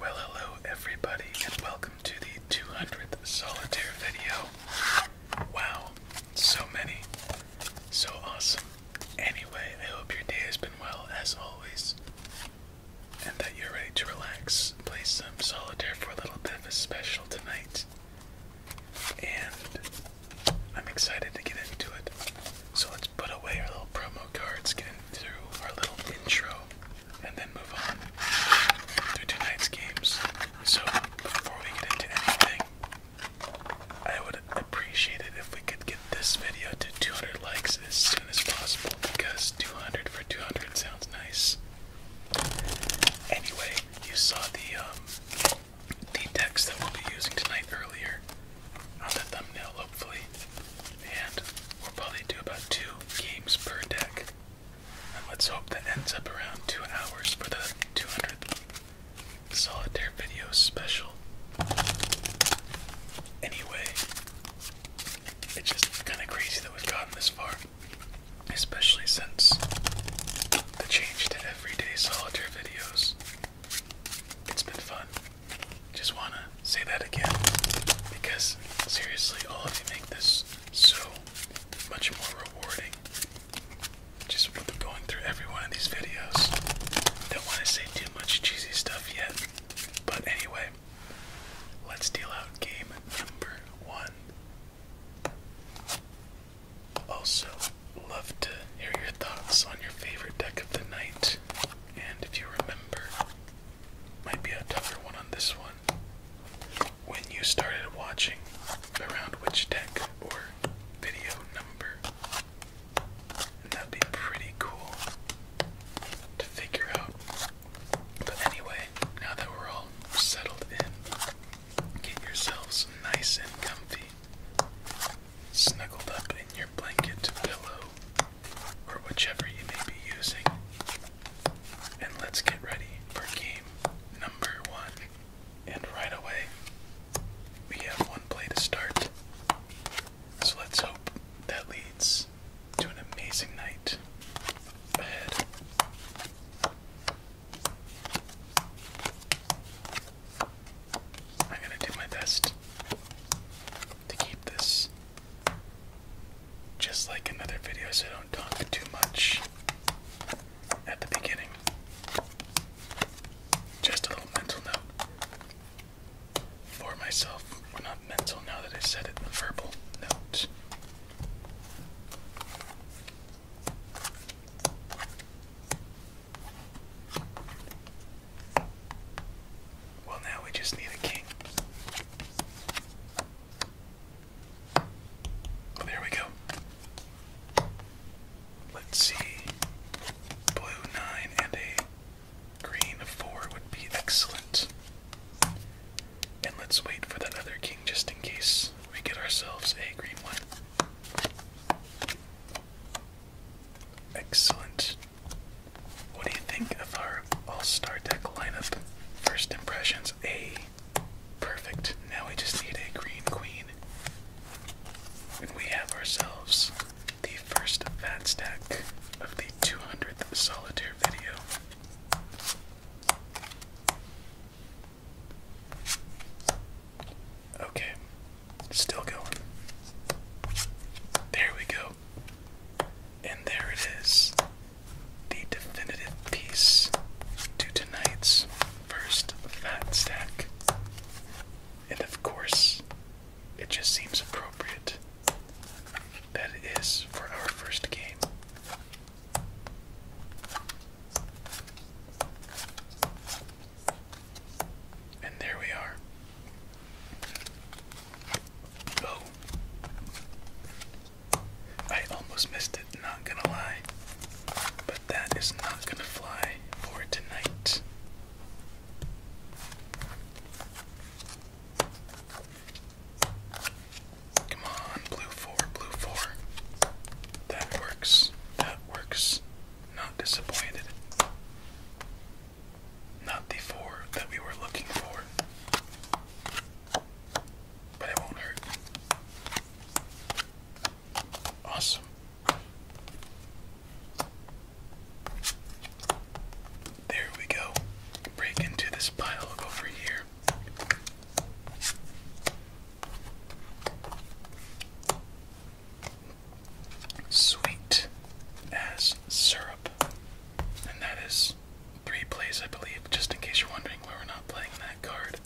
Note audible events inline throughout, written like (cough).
Well, hello, everybody, and welcome to the 200th solitaire video. Wow, so many, so awesome. Anyway, I hope your day has been well, as always, and that you're ready to relax. Play some solitaire for a little bit of a special tonight. And I'm excited to get into it. So let's put away our little promo cards, get through our little intro, and then move on through tonight's games. So, before we get into anything, I would appreciate it if we could get this video to 200 likes as soon as possible because 200 for 200 sounds nice. Anyway, you saw the um, the text that we'll be using tonight earlier on the thumbnail, hopefully. And we'll probably do about two games per deck. And let's hope that ends up around two hours for the 200 solitaire video special. Anyway, it's just kind of crazy that we've gotten this far, especially since the change to everyday solitaire videos. It's been fun. Just want to say that again because seriously, all of you make this so much more rewarding. Just what going through every one of these videos. Don't want to say too much cheesy stuff yet, but anyway, let's deal out game number one. Also, love to hear your thoughts on your favorite deck of the night. And if you remember, might be a tougher one on this one. When you started watching, around which deck or video number? that'd be pretty cool to figure out. But anyway, now that we're all settled in, get yourselves nice and comfy, snuggled up in your blanket, pillow, or whichever you may be using. And let's get ready for game number one. And right away, we have one play to start. So let's hope that leads to an amazing night ahead. I'm going to do my best to keep this just like another video, so don't talk too much at the beginning. Just a little mental note for myself. Well, not mental now that I said it, verbal note. Well, now we just need a king. Oh, there we go. Let's see. Blue 9 and a green 4 would be excellent. And let's wait for that other king just in case we get ourselves a green one. Excellent. What do you think of our all-star deck lineup? First impressions, A. Perfect. Now we just need a green queen. And we have ourselves the first fat stack of the 200th solitaire video. Okay, still going. There we go. And there it is the definitive piece to tonight's first fat stack. And of course, it just seems appropriate that it is for our first game. And there we are. Oh. I almost missed it, not gonna lie. But that is not gonna fly for tonight. Come on, blue four, blue four. That works, that works. Not disappointed. Not the four that we were looking for. But it won't hurt. Awesome. There we go. Break into this pile over here. Sweet as syrup. And that is three plays, I believe, just in case you're wondering why we're not playing that card.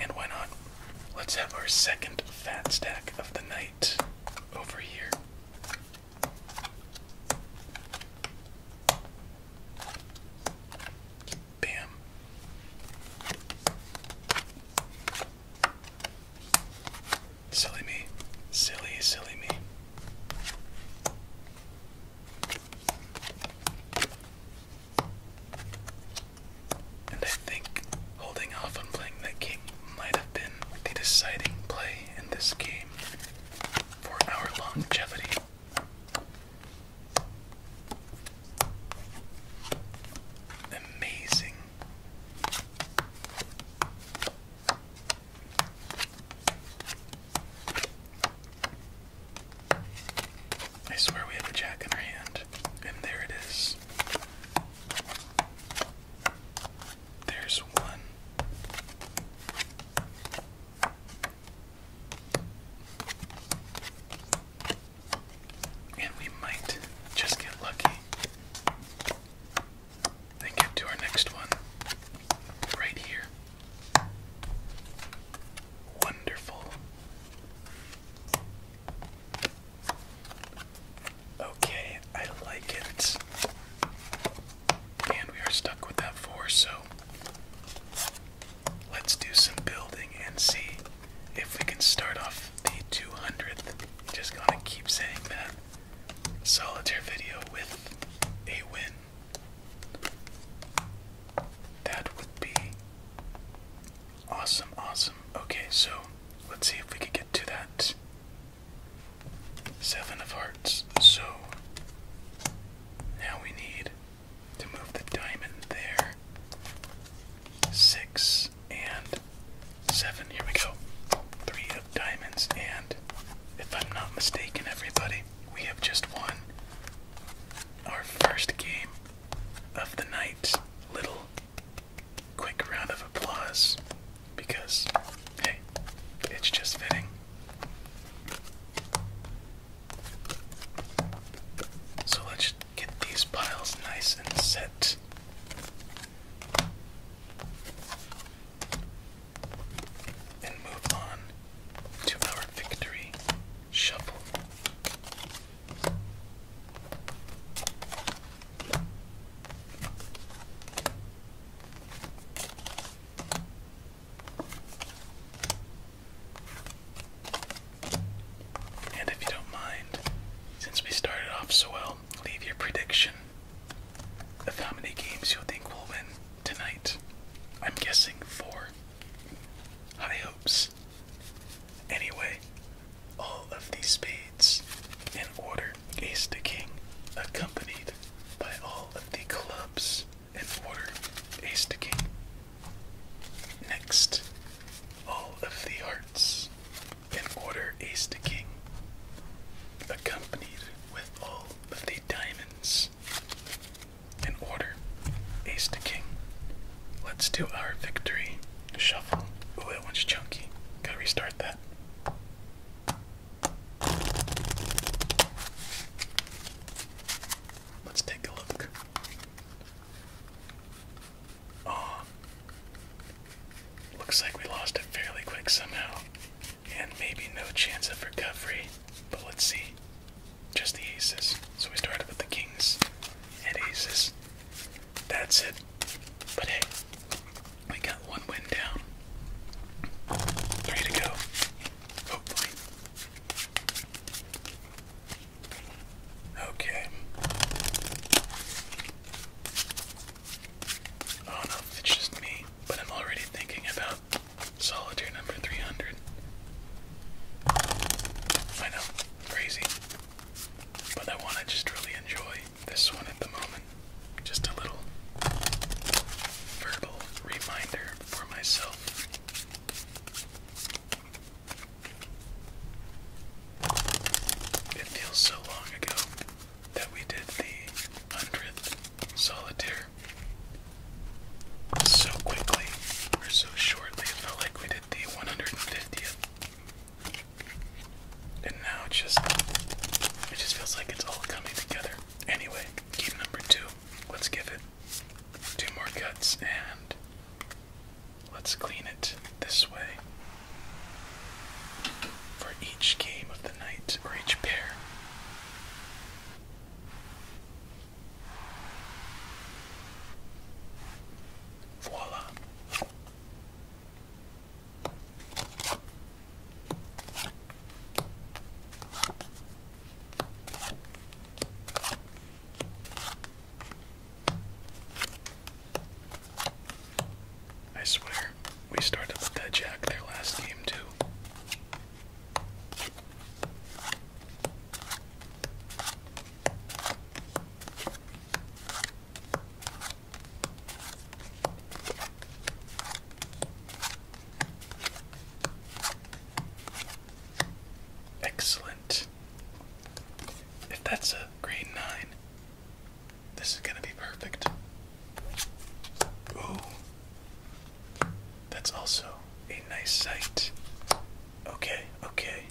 And why not? Let's have our second fat stack of the night over here. Bam. Silly me. Silly, silly me. And I think holding off on playing that king might have been the deciding play in this game for our longevity. Amazing. I swear we have a jack in our hand, and there it is. There's one. And we might just get lucky then get to our next one right here. Wonderful. Okay, I like it. And we are stuck with that four, so let's do some building and see if we can start off the 200th. Just gonna keep saying that. Solitaire video with a win. That would be awesome, awesome. Okay, so let's see if we can get to that. Seven of hearts. So now we need to move the diamond there. Six and Seven, here we go. Three of diamonds, and if I'm not mistaken, everybody, we have just won our first game of the night. Little quick round of applause because, hey, it's just fitting. So let's get these piles nice and set and move on to our victory shuffle. And if you don't mind, since we started off so well, leave your prediction of how many games you think will win tonight. I'm guessing four. High hopes. Anyway, all of these spades in order, ace to king, accompanied by all of the clubs in order, ace to king. Next, all of the hearts in order ace to king, accompanied with all of the diamonds. In order ace to king. Let's do our victory shuffle. Oh, that one's chunky. Gotta restart that. Let's take a look. Oh, looks like we lost it fairly quick somehow and maybe no chance of recovery. But let's see. Just the aces. So we started with the kings and aces. That's it. But hey, we got one win down. Three to go. Hopefully. Okay. Oh no, it's just me but I'm already thinking about solitaire number 300. I know, crazy. But I want to just really enjoy this one at the moment. Just a little verbal reminder for myself. It feels so long ago that we did the hundredth solitaire so quickly or so shortly. It felt like we did the one hundred and fiftieth. And now it just it just feels like it's all coming together. Anyway, game number two. Let's give it two more cuts and let's clean it this way for each game of the night or each pair. Voila. I swear we started with that jack there last game too. Excellent. If that's a grade nine, this is gonna be perfect. Ooh. That's also a nice sight. Okay, okay.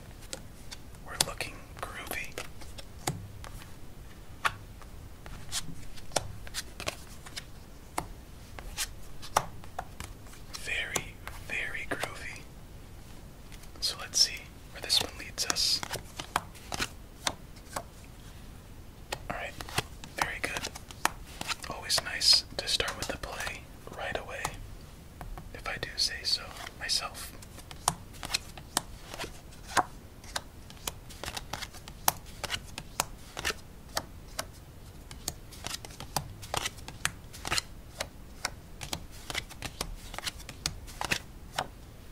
We're looking groovy. Very, very groovy. So let's see where this one leads us. Alright, very good. Always nice to start with the play right away, if I do say so myself.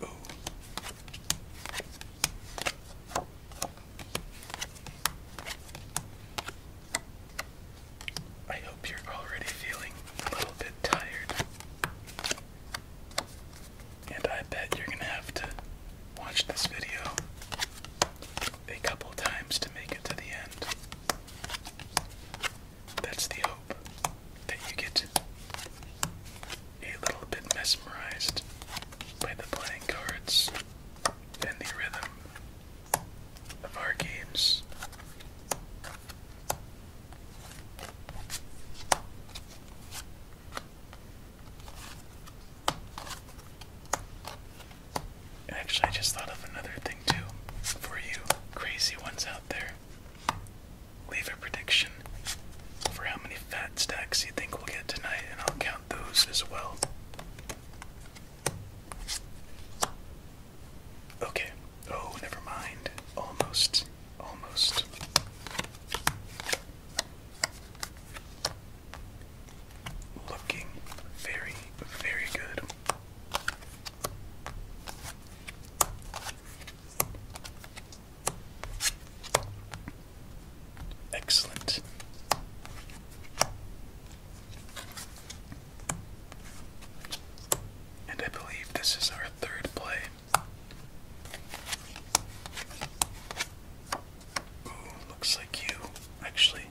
Ooh. I hope you're already feeling a little bit tired. And I bet you're going to have to watch this video a couple times to make it to the end. That's the hope that you get a little bit mesmerized by the playing cards and the rhythm of our games. Actually, I just thought of another thing too for you crazy ones out there. Leave a prediction prediction for how many fat stacks you think we'll get tonight, and I'll count those as well. Okay. Oh, never mind. Almost. Almost. Looking very, very good. Excellent. And I believe this is our third play. Ooh, looks like you actually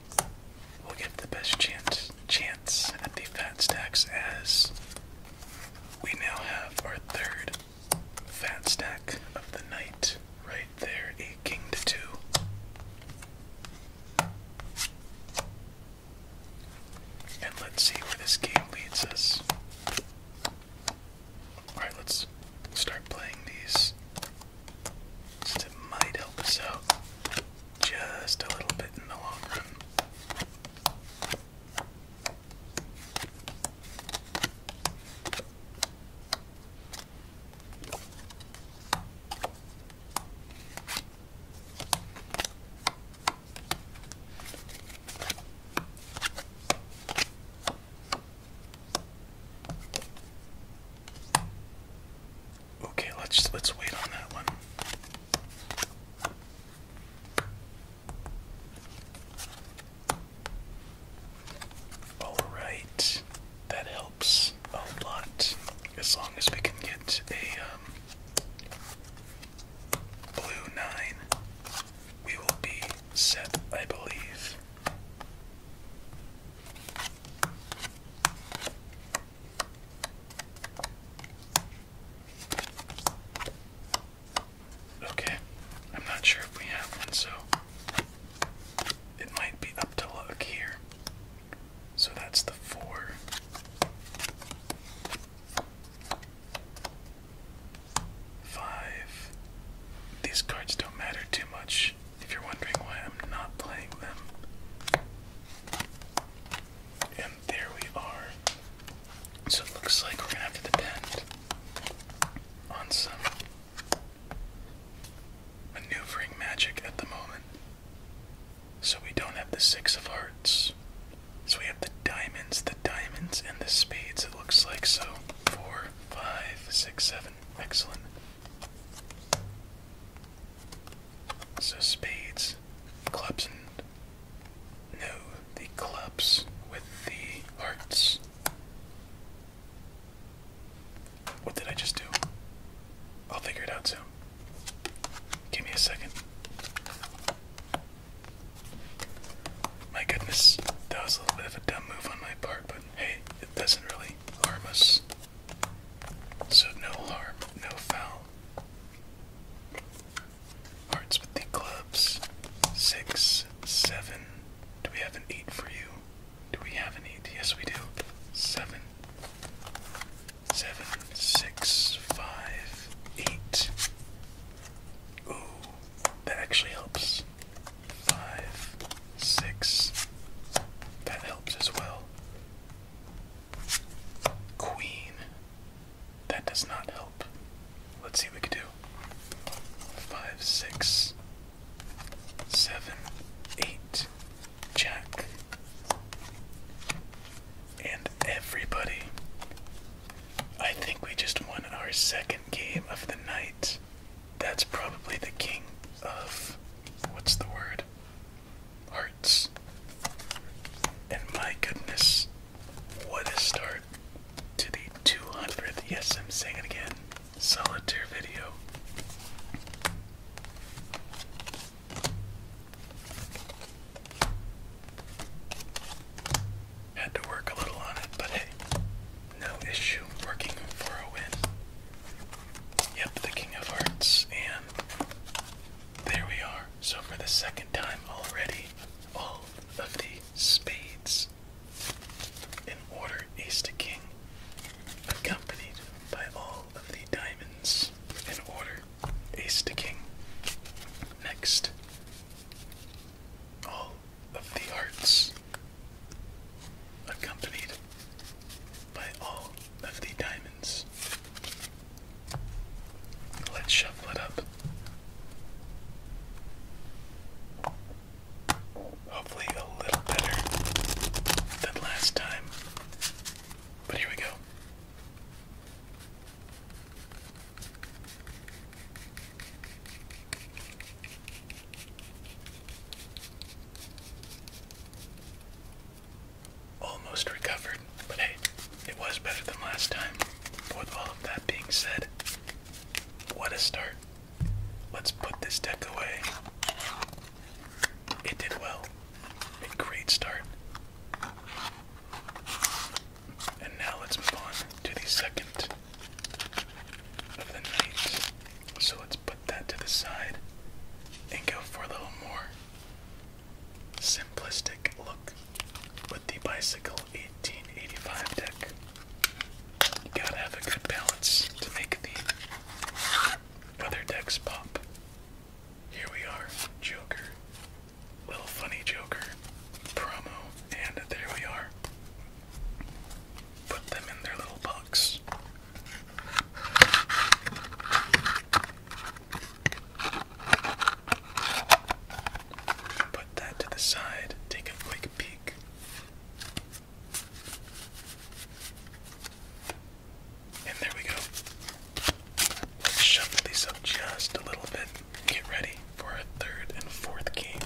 will get the best chance chance at the fat stacks as we now have our third Fat stack of the night, right there, a king to two. And let's see where this game leads us. Alright, let's start playing these. Since might help us out just a little bit in the long run. Okay, let's let's wait on that one. Alright, that helps a lot. As long as we can get a um, blue 9, we will be set, I believe. Okay, I'm not sure if we have one, so it might be up to luck here. So that's the four. Five. These cards don't matter too much if you're wondering why I'm not playing them. And there we are. So it looks like we're gonna have to depend on some maneuvering magic at the moment. So we don't have the six of hearts. So we have the diamonds, the diamonds, and the spades, it looks like. So four, five, six, seven. Excellent. So spades, clubs, and no, the clubs with the hearts. What did I just do? I'll figure it out soon. Give me a second. My goodness, that was a little bit of a dumb move on my part, but hey, it doesn't really harm us. So no harm, no foul. Hearts with the clubs. Six, seven. Do we have an eight for you? Do we have an eight? Yes, we do. Seven. Seven, Ooh, that actually helps. Five, six. That helps as well. Queen. That does not help. Let's see what we can do. Five, six seven, eight, jack, and everybody. I think we just won our second game of the night. That's probably the king of what's the word? Hearts. And my goodness, what a start to the 200th. Yes, I'm saying it again solitaire video. Had to work a little on it, but hey, no issue working for a win. Yep, the King of Hearts, and there we are. So, for the second time already, all of the spades in order ace to king, accompanied by all of the diamonds in order ace to king. Next, all of the hearts, accompanied by all of the diamonds. Let's shuffle it up. Hopefully, a little better than last time. But here we go. Almost recovered, but hey, it was better than last time. With all of that being said, what a start. Let's put this deck away. It did well. A great start. And now let's move on to the second of the night. So let's put that to the side and go for a little more simplistic look with the Bicycle 1885 deck gotta have a good balance to make the other decks pop. Here we are, Joker. Little funny Joker promo, and there we are. Put them in their little box. Put that to the side, take a quick peek. And there we go. shuffle these up just a little bit. Get ready for our third and fourth game.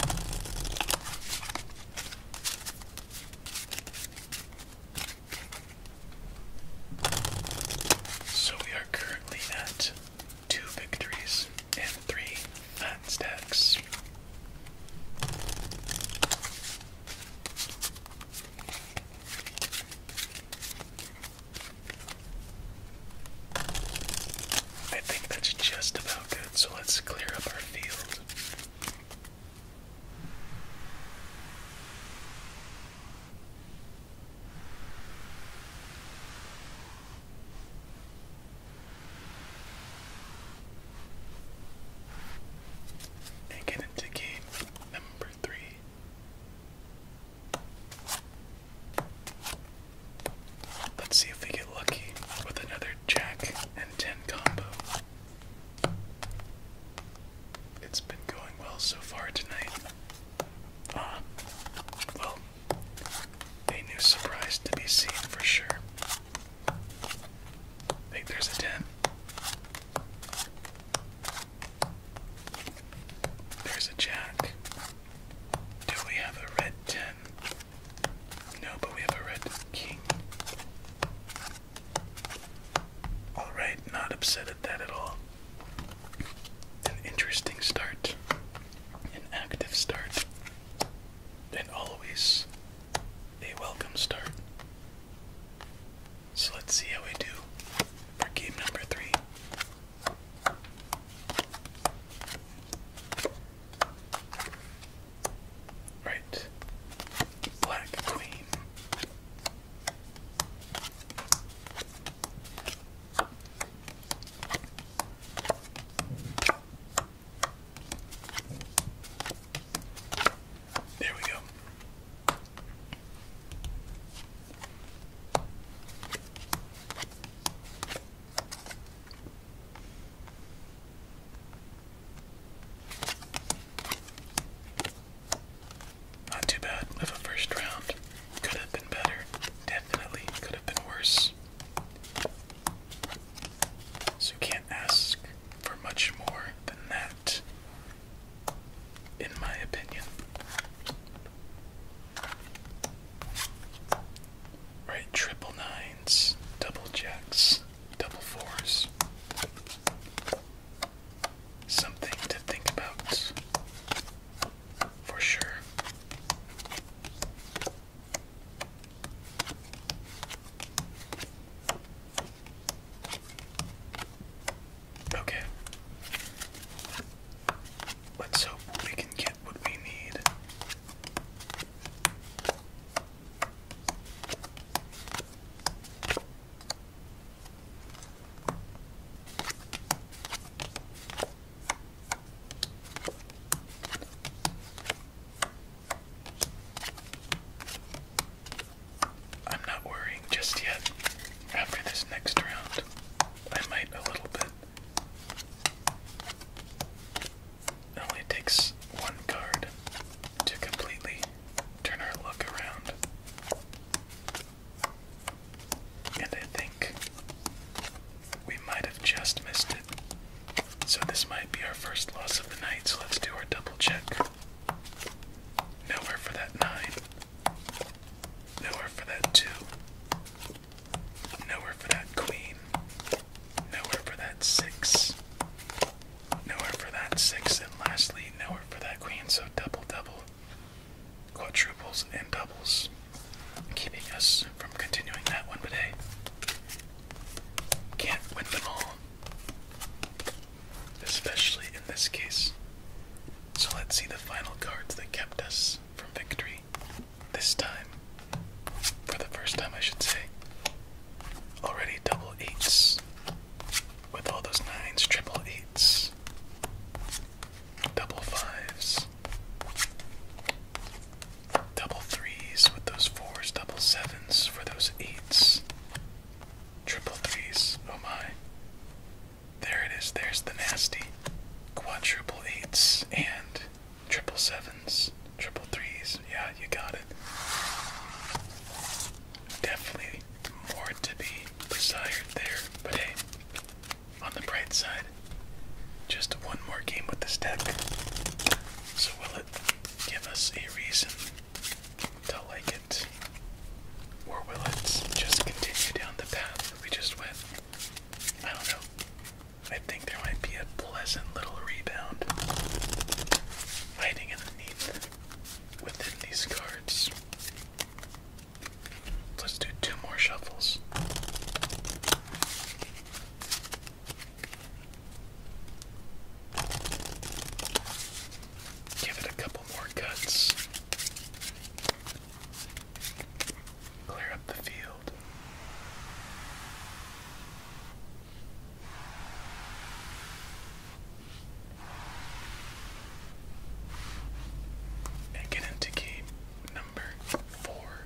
So we are currently at two victories and three fat stacks. I think that's just about good, so let's clear up our field and get into game number three. Let's see if we get lucky with another jack and 10 combo. It's been going well so far tonight. Ah, well, a new surprise to be seen for sure. I think there's a 10. There's a jack. Do we have a red 10? No, but we have a red king. Alright, not upset at that at all. An interesting start. An active start. And always a welcome start. So let's see how we do for game number three. Right. Black Queen. There we go. Not too bad of a first round. Could have been better. Definitely could have been worse. So ask for much more than that, in my opinion. Right, triple nines, double jacks, double fours. Something to think about for sure. Okay. Let's hope we can get what we need. I'm not worrying just yet. After this next round, I might a little bit. It only takes one card to completely turn our luck around. And I think we might have just missed it. So this might be our first loss of the night, so let's do our double check. Nowhere for that nine. Nowhere for that two. Nowhere for that queen. Nowhere for that six. Nowhere for that six. And lastly, nowhere for that queen. So double, double, quadruples, and doubles. Keeping us from continuing that one, today. can't win them all especially in this case. So let's see the final cards that kept us from victory this time. For the first time, I should say. Already double eights. With all those nines, triple eights, double fives, double threes with those fours, double sevens for those eights, Triple threes, oh my. There it is, there's the nasty. Quadruple eights and triple sevens, triple threes. Yeah, you got it. Definitely more to be desired there, but hey, on the bright side, just one more game with this deck. So, will it give us a reason to like it? Or will it just continue down the path we just went? I don't know. I think there might be a pleasant little rebound hiding underneath within these cards. Let's do two more shuffles. Give it a couple more cuts. Clear up the field. And get into game number four.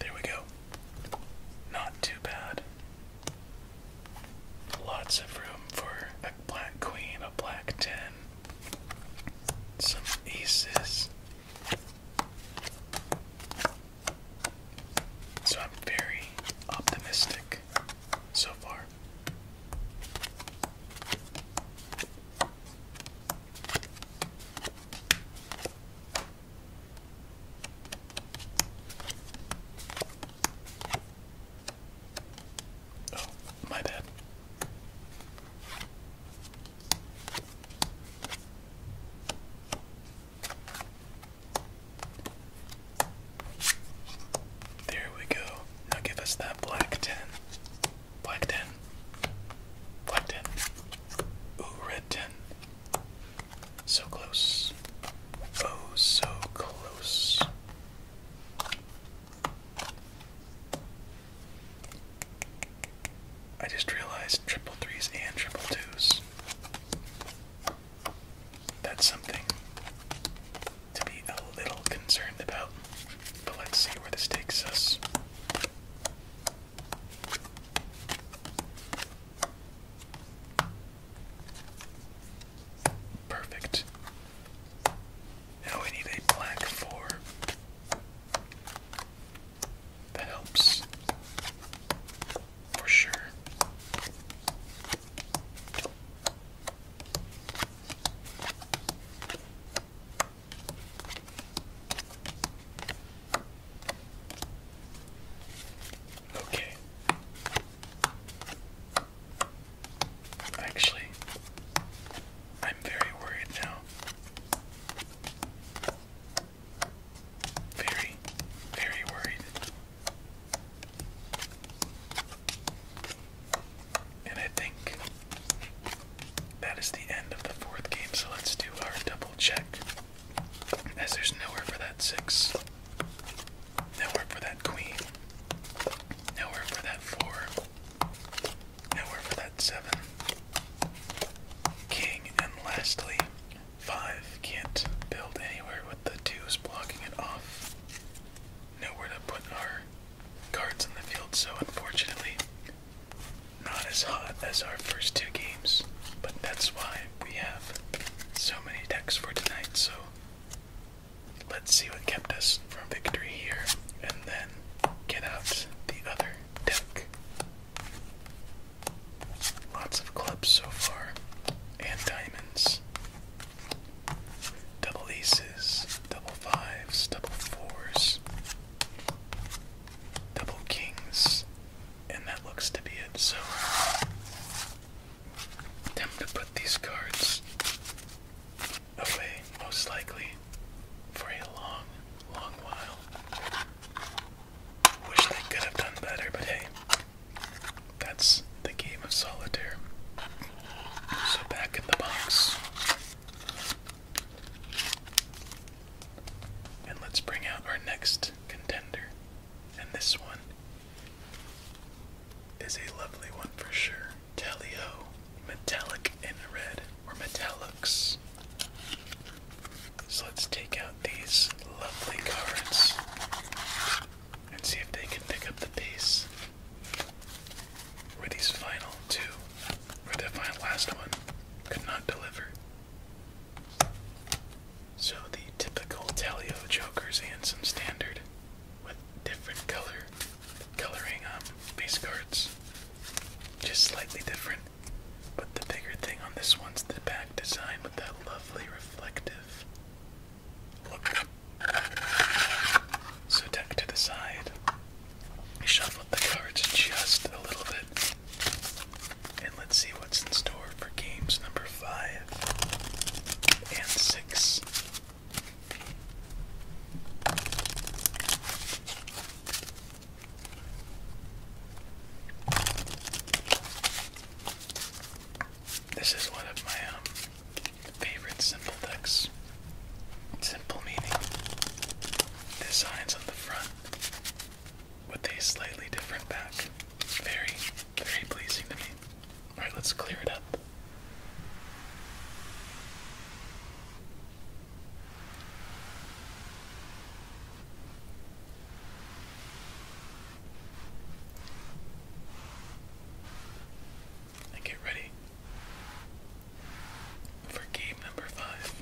There we go. Not too bad. Lots of room for a black queen, a black ten, some aces. So I'm very optimistic so far. Oh, my bad. There we go. Now give us that black 10. Black 10. Black 10. Ooh, red 10. So close. Oh, so close. I just realized triple threes and triple twos. That's something to be a little concerned about. But let's see where this takes us. Perfect. Now we need a black four. That helps for sure. Okay. Actually, I'm very worried now. Very, very worried. And I think that is the end of the fourth game, so let's do our double check. As there's nowhere for that six, nowhere for that queen, nowhere for that four, nowhere for that seven, king, and lastly, five. Can't build anywhere with the twos blocking it off. Nowhere to put our cards in the field, so unfortunately, not as hot as our first two games, but that's why we have so many decks for tonight. So let's see what kept us from victory here and then get out the other deck. Lots of clubs so far, and diamonds. Double aces, double fives, double fours, double kings, and that looks to be it. So time to put these cards away, most likely, for a long, long while. Wish they could have done better, but hey, that's the game of solitaire. So back in the box and let's bring out our next contender. And this one is a lovely one for sure. Tally metallic in red, or metallics. So let's take out these lovely cards and see if they can pick up the pace. Were these final two, or the final last one, could not deliver. So the typical Teleo jokers and some standard with different color coloring um base cards. Just slightly different. But the bigger thing on this one's the back design with that lovely reflective look. So deck to the side. Shuffle the cards just a little bit. And let's see what's in store for games number five and six. This is one of my um, favorite simple decks. Simple meaning. Designs on the front with a slightly different back. Very, very pleasing to me. Alright, let's clear it up. And get ready for game number five.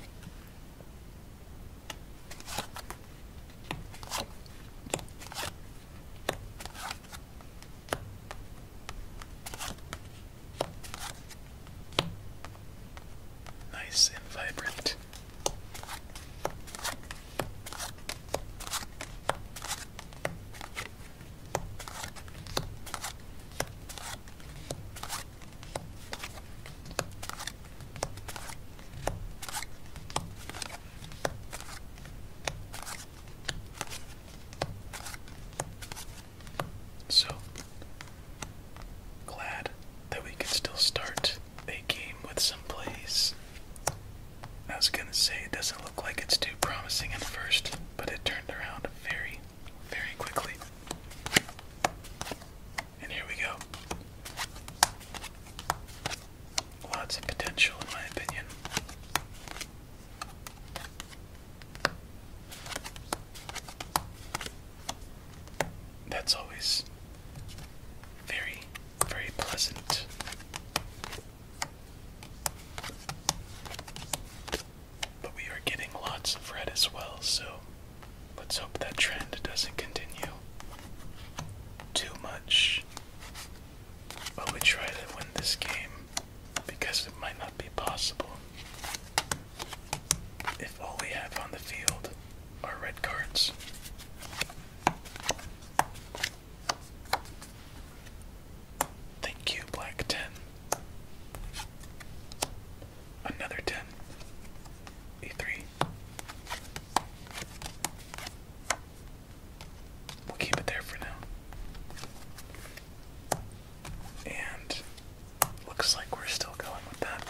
Nice and vibrant. So glad that we can still start a game with some plays. I was gonna say it doesn't look like it's too promising at first, but it turned around very, very quickly. And here we go. Lots of potential, in my opinion. That's always very, very pleasant. But we are getting lots of red as well, so Let's hope that trend doesn't continue too much. But we try to win this game because it might not be possible. If all we have on the field are red cards. Thank you, Black 10. Another 10 e3. We'll keep it there for now. And looks like we're still going with that.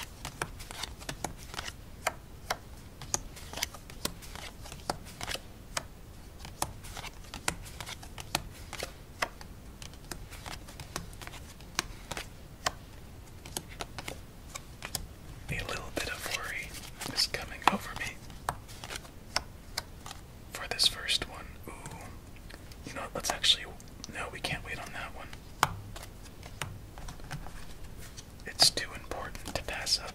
A little bit of worry is coming over me for this first one. Ooh. You know what? Let's actually. No, we can't wait on that one. It's too important to pass up.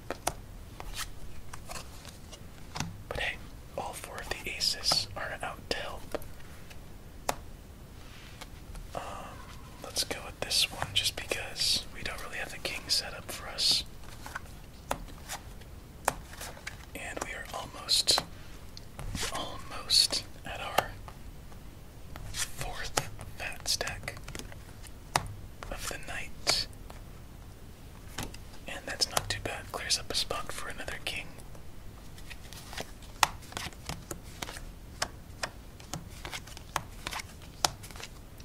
But hey, all four of the aces are out to help. Um, let's go with this one just because we don't really have the king set up for us. And we are almost, almost at our fourth fat stack of the night. And that's not too bad. Clears up a spot for another king.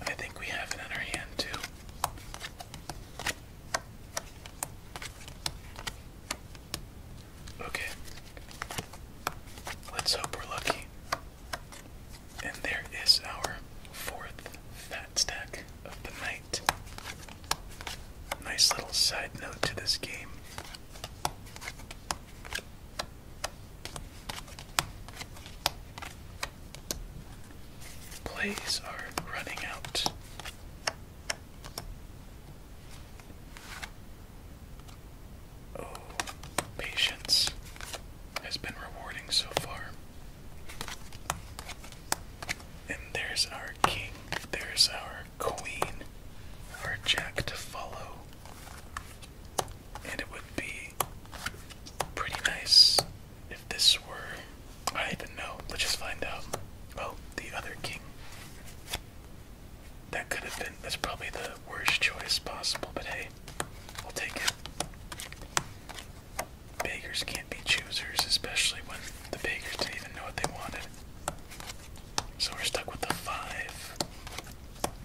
I think we have it in our hand too. Okay. Let's hope we're lucky. And there is our fourth fat stack of the night. Nice little side note to this game. Plays are running out. Oh, patience has been rewarding so far. And there's our king, there's our queen, our jack to follow. And it would be pretty nice if this were. I even know. Let's just find out. Oh, the other king. That could have been. That's probably the worst choice possible, but hey, we'll take it. Beggars can't be choosers, especially when the beggars didn't even know what they wanted. So we're stuck with the 5,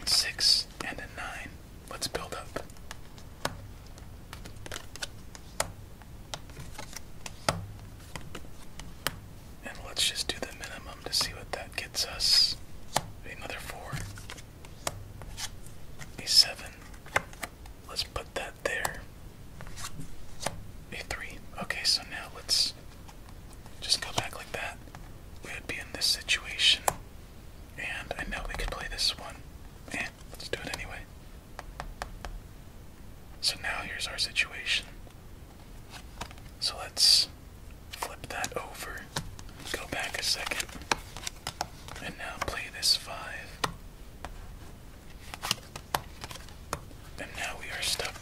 6, and a 9 let's build up. And let's just do the minimum to see what that gets us. Another four. A seven. Let's put that there. A three. Okay, so now let's just go back like that. We would be in this situation and I know we could play this one. and eh, let's do it anyway. So now here's our situation. So let's flip that over, go back a second, and now play this five. And now we are stuck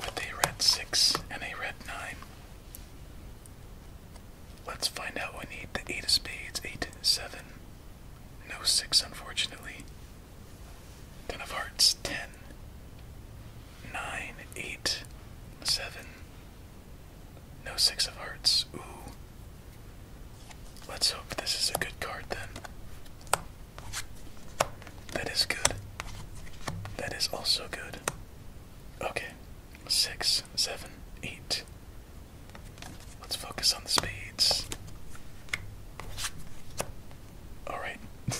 with a red six and a red nine. Let's find out. We need the eight of spades, eight, seven. No six, unfortunately. Ten of hearts, ten. Nine, eight, seven. No six of hearts. Ooh. Let's hope this is a good card then. That is good. That is also good. Okay, six, seven, eight. Let's focus on the speeds. Alright. (laughs)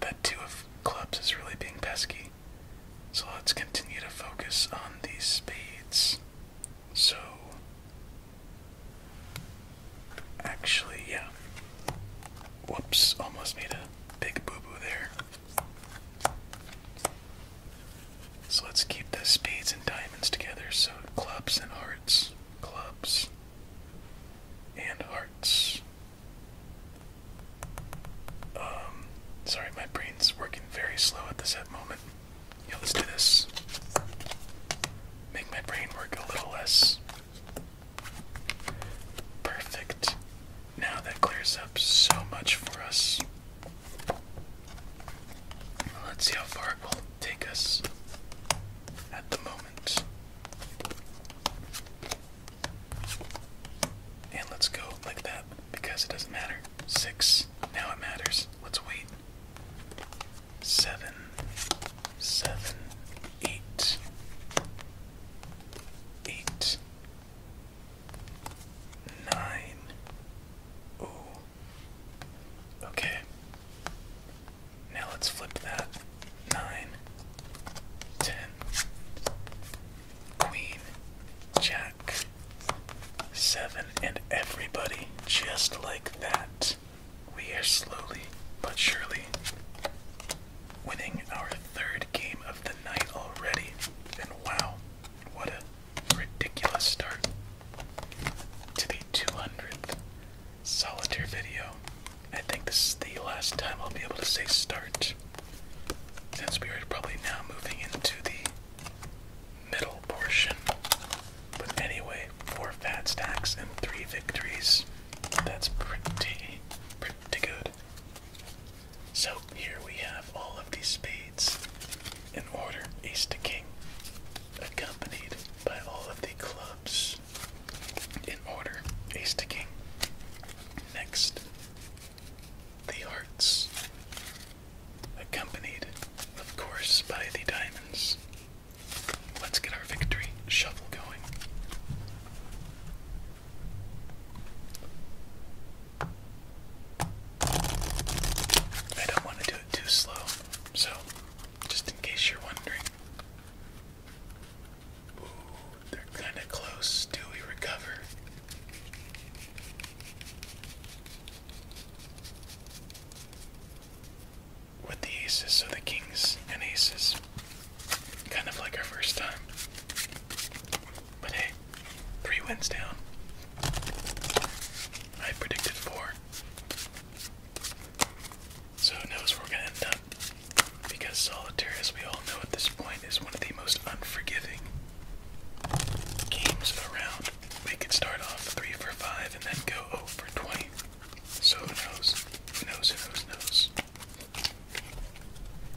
that two of clubs is really being pesky. So let's continue to focus on these speeds. So. Actually, yeah. Whoops, almost made a big boo boo there. So let's keep the spades and diamonds together. So clubs and hearts, clubs and hearts. Um, sorry, my brain's working very slow at this at moment. Yeah, let's do this. Make my brain work a little less. Perfect. Now that clears up so much for us. Let's see how far it will take us at the moment. And let's go like that because it doesn't matter. Six. Now it matters. Let's wait. Seven. Seven. Eight. Eight. Nine. Ooh. Okay. Now let's flip that. Nine. Ten. Queen. Jack. Seven. And everybody, just like that, we are slowly but surely winning our third game of the night already. And wow, what a ridiculous start to the 200th solitaire video. I think this is the last time I'll be able to say start, since we are probably now moving into the middle portion. But anyway, four fat stacks and three victories. That's pretty, pretty good. So here we have all of these spades in order, ace to king, accompanied by all of the clubs in order, ace to king. Next, the hearts, accompanied, of course, by the diamonds. Let's get our victory shuffle going. I don't want to do it too slow, so just in case you're wondering. Ooh, they're kind of close. Do we recover? With the aces, so the kings and aces. Kind of like our first time. But hey, three wins down. I predicted four. So who knows where we're gonna end up? Because solitaire, as we all know at this point, is one of the most unforgiving games around. We could start off three for five and then go 0 for 20. So who knows? Who knows? Who knows? Who Knows?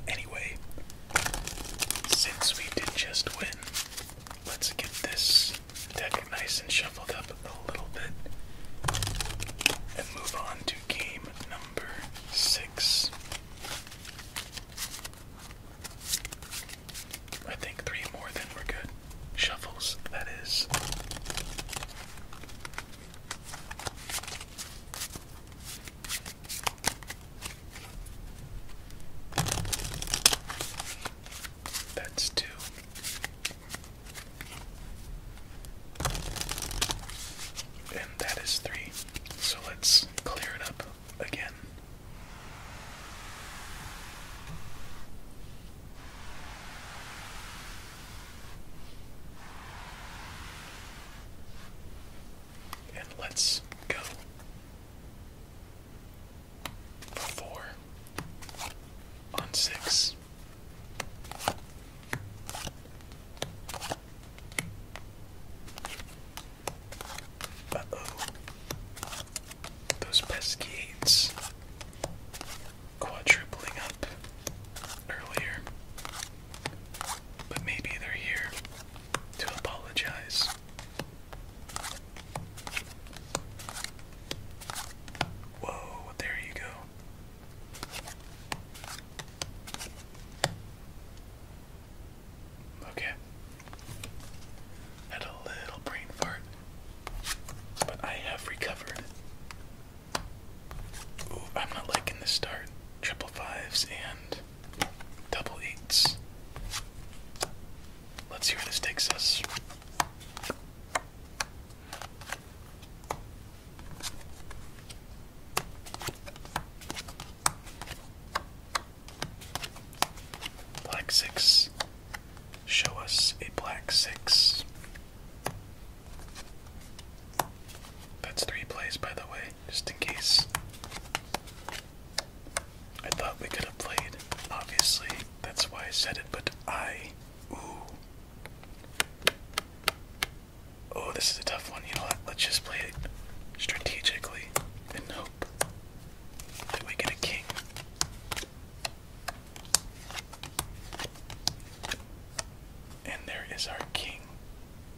Anyway, since we did just win, let's get this deck nice and shuffled up a little bit and move on to game number six. I think three more, then we're good. Shuffles, that is. That's two. And that is three. So let's clear it up again and let's go. Four on six. oh. Those pesky eights quadrupling up earlier. But maybe they're here to apologize. Whoa, there you go. Okay. Had a little brain fart, but I have recovered. Ooh, I'm not liking the start. Triple fives and Double eights. Let's see where this takes us. Black six. Show us a black six. That's three plays, by the way just in case. I thought we could have played. Obviously, that's why I said it, but I. Ooh. Oh, this is a tough one. You know what? Let's just play it strategically and hope we get a king. And there is our king.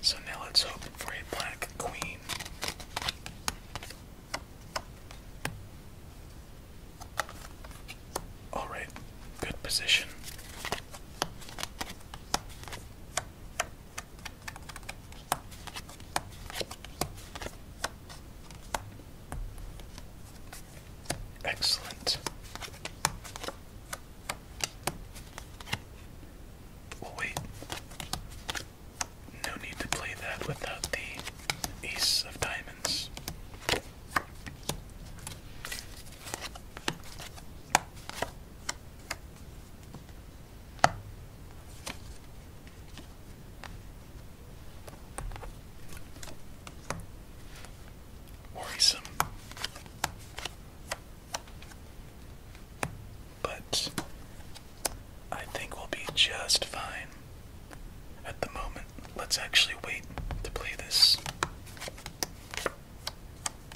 So now let's hope for a black queen. Alright, good position. Excellent. we wait. No need to play that without the ace of diamonds. Worrisome. But I think we'll be just fine at the moment. Let's actually wait to play this.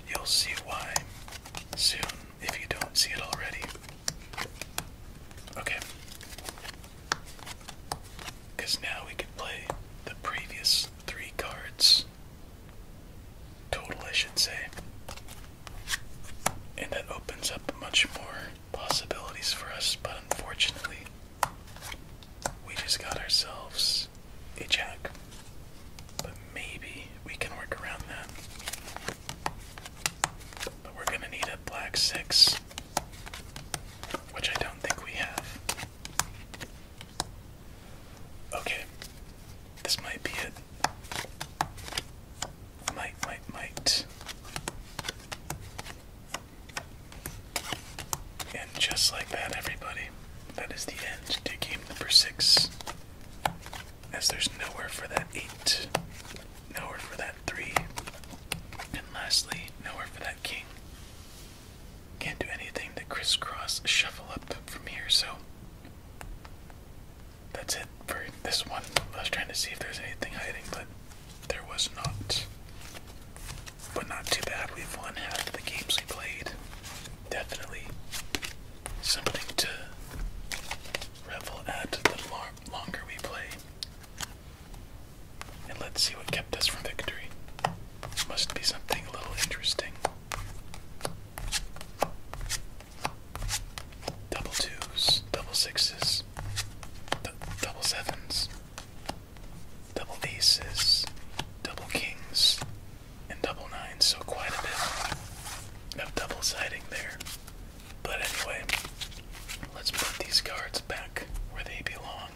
You'll see why soon if you don't see it already. Okay. Because now we can play the previous three cards total, I should say. And that opens up much more possibilities for us, but unfortunately, we just got ourselves a jack. But maybe we can work around that. But we're gonna need a black six, which I don't think we have. Okay, this might be it might, might, might. And just like that, everybody, that is the end to game number six. As there's nowhere for that eight, nowhere for that three, and lastly, nowhere for that king. Can't do anything to crisscross shuffle up from here, so that's it for this one. I was trying to see if there's anything hiding, but there was not. But not too bad. We've won half the games we played. Definitely something to revel at the longer we play. And let's see what kept us from victory. Must be something a little interesting double twos, double sixes, double sevens, double aces, double kings, and double nines. So quite a bit of double siding there. But anyway, let's put these cards back where they belong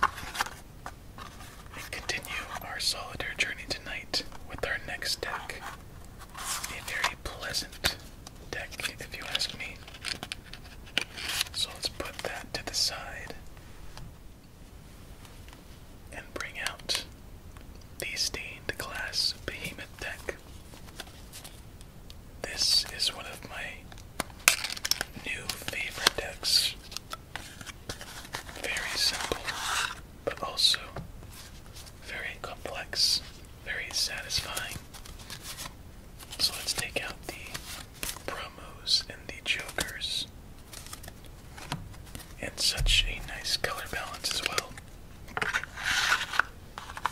and continue our solitaire journey tonight with our next deck a very pleasant deck, if you ask me. So let's put that to the side and bring out the stained glass behemoth deck. This is one of my new favorite decks. Very simple, but also very complex, very satisfying. So let's take out the promos and the jokers. And such a nice color balance as well.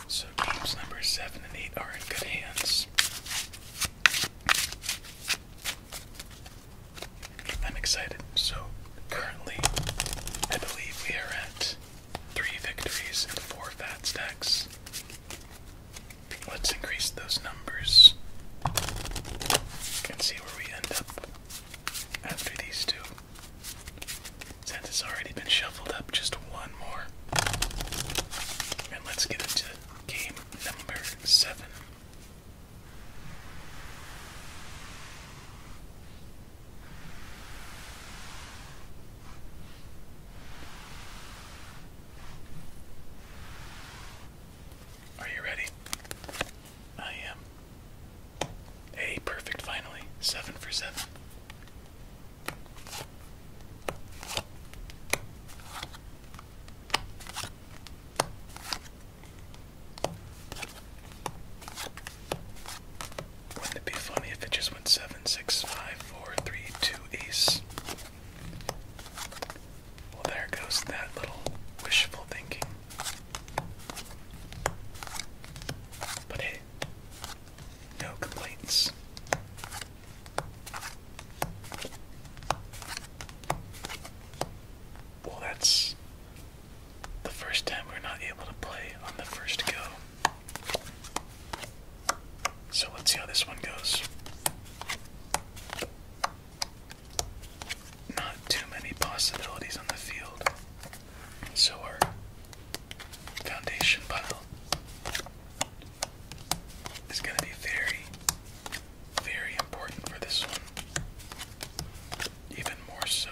So games number 7 and 8 are in good hands. I'm excited. So currently, I believe we are at Three victories and four fat stacks. Let's increase those numbers and see where we end up after these two. Since it's already been shuffled up, just one more. And let's get into game number seven. Are you ready? I am. A perfect finally. Seven for seven. Wouldn't it be funny if it just went seven, six, five, four, three, two, ace? Well, there goes that little wishful thinking. But hey, no complaints. Well, that's the first time we are not able to play on the first go. So let's see how this one goes. Not too many possibilities on the field. So our foundation pile is going to be very, very important for this one. Even more so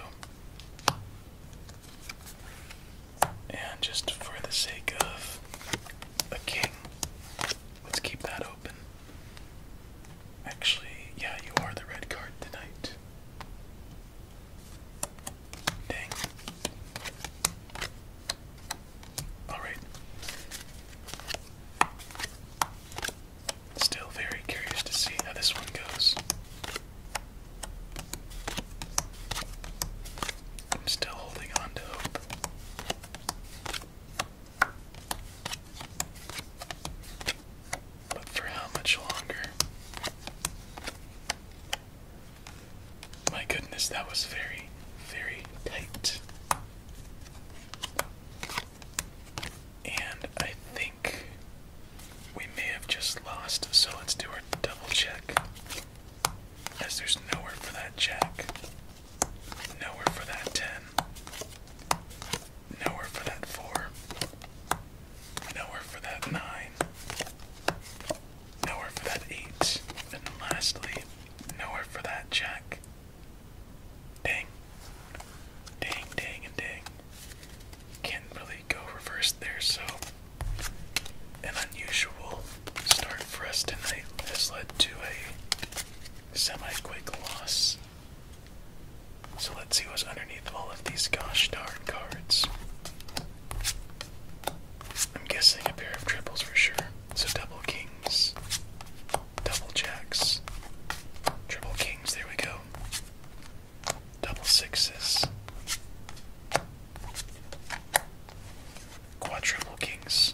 and just for the sake of a king, let's keep that open. Actually, yeah, you are the red card tonight. Dang. Alright. Still very curious to see how this one goes. I'm still holding on to hope. But for how much longer? My goodness, that was very, very tight. And I think we may have just lost, so let's do our double check. As there's nowhere for that jack, nowhere for that 10, nowhere for that 4, nowhere for that 9, nowhere for that 8, and lastly, nowhere for that jack. Dang. Dang, dang, and dang. Can't really go reverse there, so an unusual start for us tonight has led to a semi quick loss. So let's see what's underneath all of these gosh darn cards. I'm guessing a pair of triples for sure. So double kings, double jacks, triple kings, there we go double sixes, quadruple kings.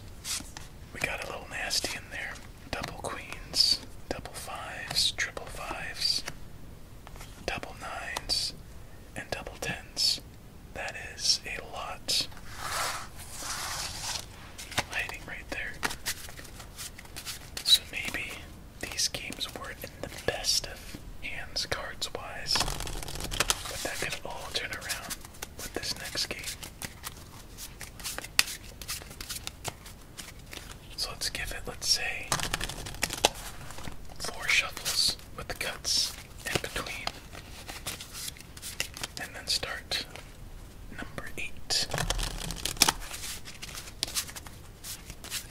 We got a little nasty in there. Double queens, double fives, triple fives, double nines, and double tens. That is a lot. Hiding right there. So maybe these games weren't in the best of hands cards wise, but that could all turn around with this next game. So let's give it, let's say, four shuffles with the cuts in between, and then start number eight.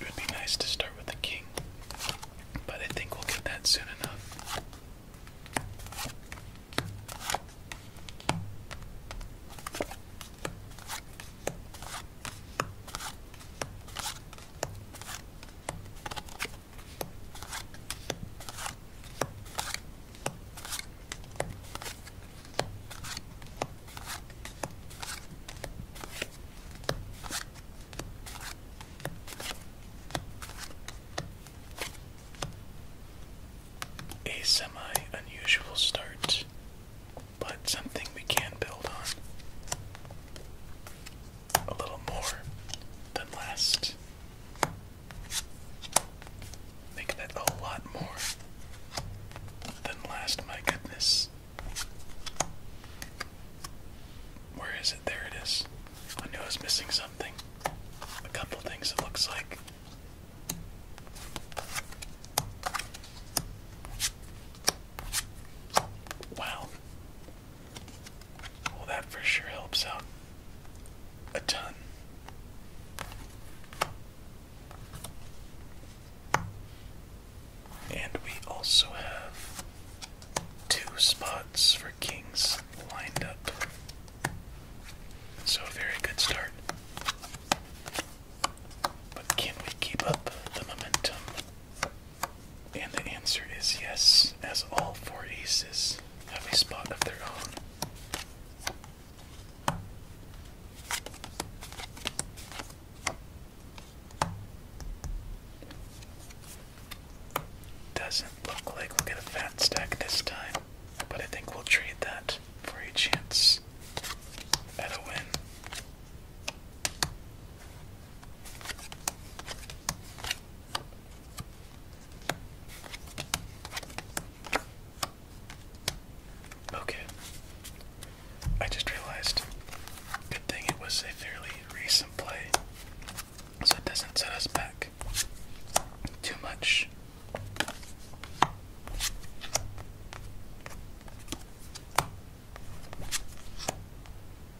It would be nice to start with the king, but I think we'll get that soon enough. A semi unusual start, but something we can build on a little more than last. Make that a lot more than last, my goodness. Where is it? There it is. I knew I was missing something. A couple things, it looks like. Wow. Well, that for sure helps out a ton. And we also have two spots for kings lined up. So, a very good start. But can we keep up the momentum? And the answer is yes, as all four aces have a spot of their own. Doesn't look like we'll get a fat stack this time, but I think we'll trade that for a chance at a win. Okay. I just realized. Good thing it was a fairly recent play, so it doesn't set us back too much.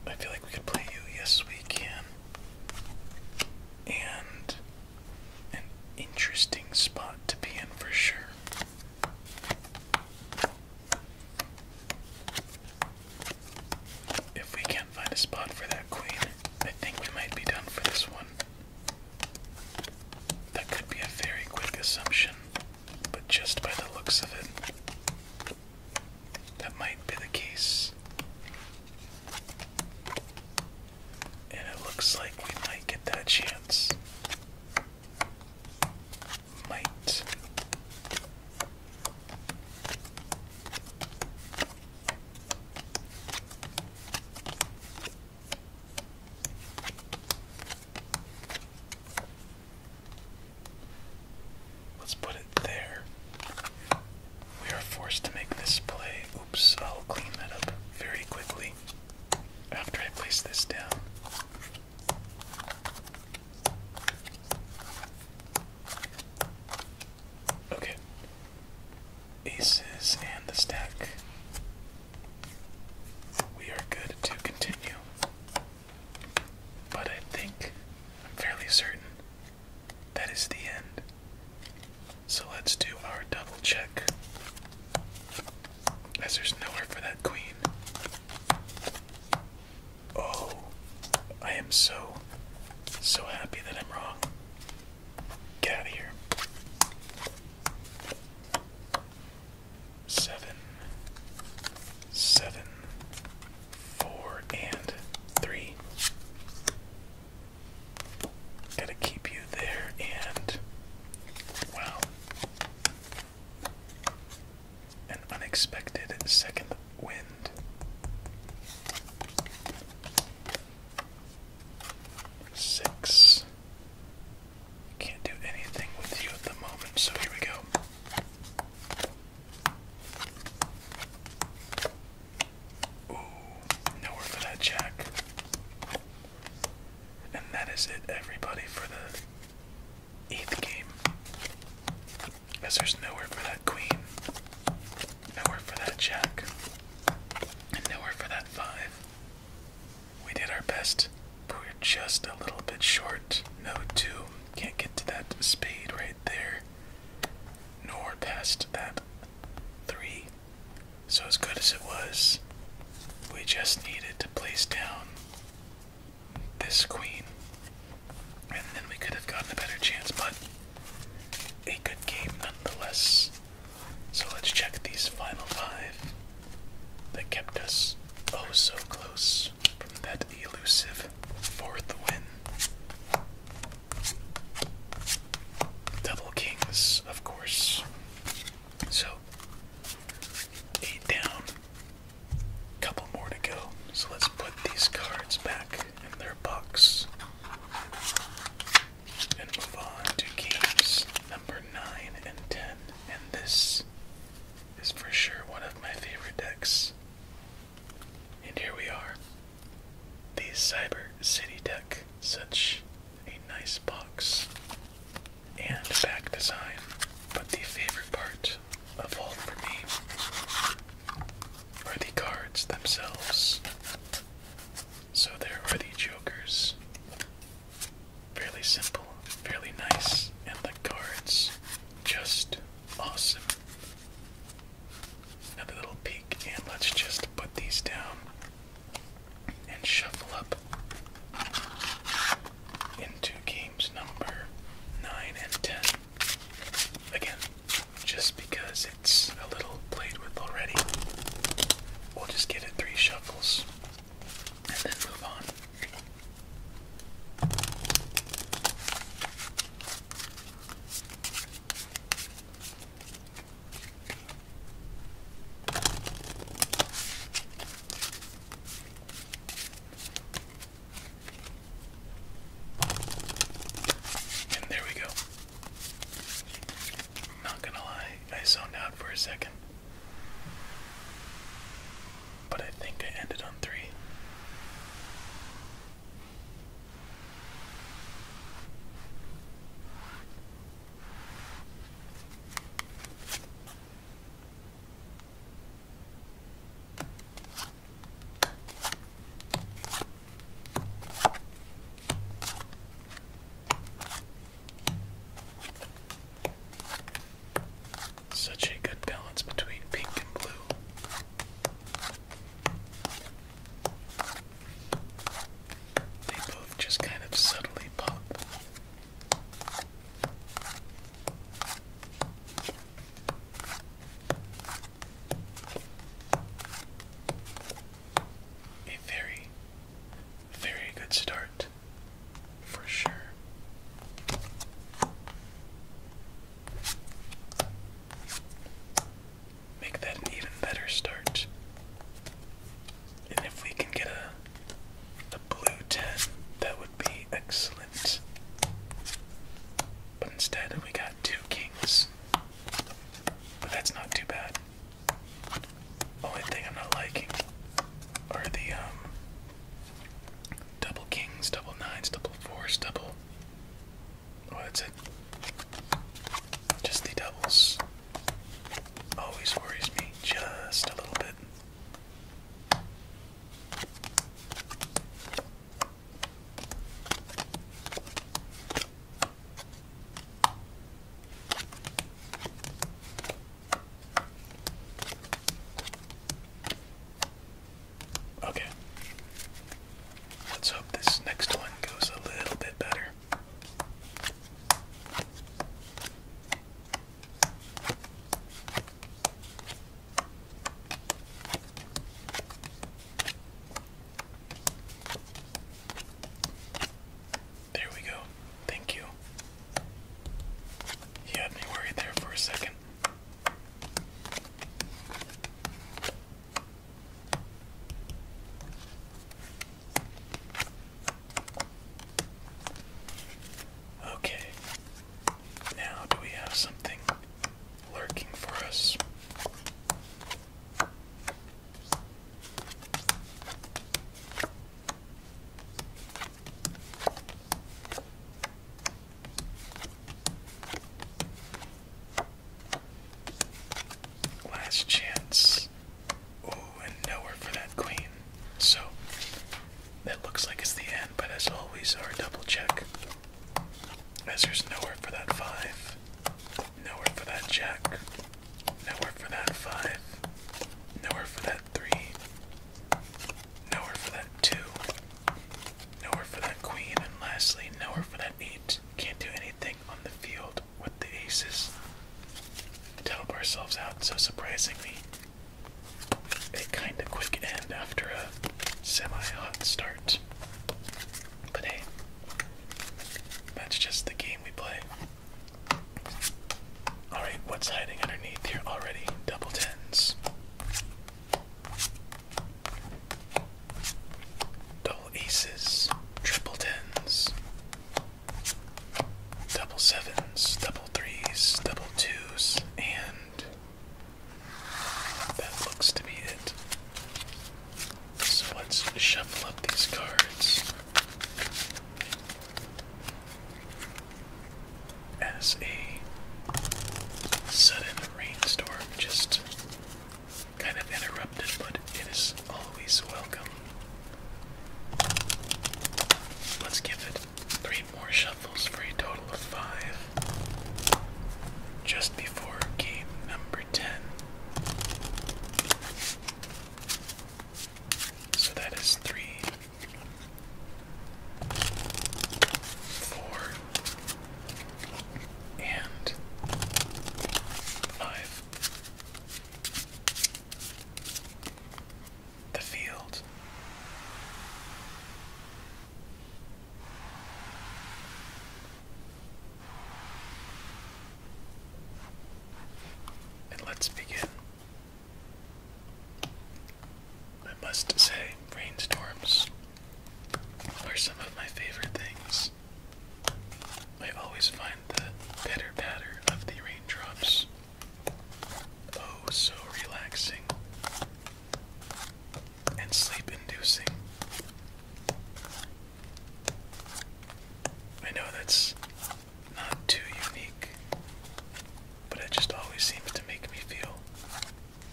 I feel like we could play you. Yes, we can. And an interesting spot to be in for sure. If we can't find a spot for that queen, I think we might be done for this one. That could be a very quick assumption, but just by the looks of it, that might be the case. And it looks like we might get that chance. Might. Let's put it there. We are forced to make this play. Oops, I'll clean that up very quickly after I place this down. Okay. Aces and the stack. We are good to continue. But I think, I'm fairly certain, that is the end so let's do our double check. As there's nowhere for that queen. Oh, I am so, so happy that I'm wrong. Get out of here. Seven, seven, four, and three. Gotta keep you there and. Wow. An unexpected second wind. Six. Can't do anything with you at the moment, so here we go. Ooh, nowhere for that jack. And that is it, everybody, for the eighth game. As there's nowhere for that queen, nowhere for that jack, and nowhere for that five. We did our best, but we're just a little bit short. No two, can't get to that spade right there, nor past that three. So, as good as it was, we just needed to place down this queen, and then we could have gotten a better chance, but a good game nonetheless. So, let's check these final five that kept us oh so close from that elusive fourth win. Double kings, of course. So, eight down, couple more to go. So let's put these cards back in their box and move on to games number 9 and 10. And this is for sure one of my favorite decks. And here we are the Cyber City deck, such a nice box and back design, but the favorite part of all for me are the cards themselves. So there are the jokers. Fairly simple, fairly nice, and the cards just awesome. Another little peek, and let's just put these down and shuffle up into games number 9 and 10. Again, just because it's a little played with already, we'll just get it three shuffles and then move on. And there we go. i not gonna lie, I zoned out for a second. But I think I ended on three. Such a good balance between pink and blue. They both just kind of subtly lollipop. A very, very good start for sure. Make that an even better start. And if we can get a, a blue 10, that would be excellent. But instead, we got two kings. But that's not too bad. Only thing I'm not liking are the um, double kings, double nines, double fours, double. Oh, that's it. Just the doubles always worries me just a little bit. Okay. Let's hope this next one goes a little bit better. There we go. Thank you. He had me worried there for a second. Okay. Now, do we have something lurking for us? Last chance Oh, and nowhere for that queen. So, that looks like it's the end, but as always, our double check. As there's nowhere for that five, nowhere for that jack, nowhere for that five, nowhere for that three, nowhere for that two, nowhere for that queen, and lastly, nowhere for that eight. Can't do anything on the field with the aces to help ourselves out. So surprisingly, a kind of quick end after a semi-hot start. But hey, that's just the game we play. Alright, what's hiding underneath here already? Double tens. Double aces, triple tens, double sevens, double threes, double twos, and that looks to be it. So let's shuffle up these cards as a sudden rainstorm just kind of interrupted, but it is always welcome. Let's give it three more shuffles for a total of five. Just before game number 10. So that is three, four, and five the field. And let's begin. I must say, rainstorms are some of my favorite things. I always find the pitter patter of the raindrops Oh, so relaxing and sleep inducing. I know that's not too unique, but it just always seems to make me feel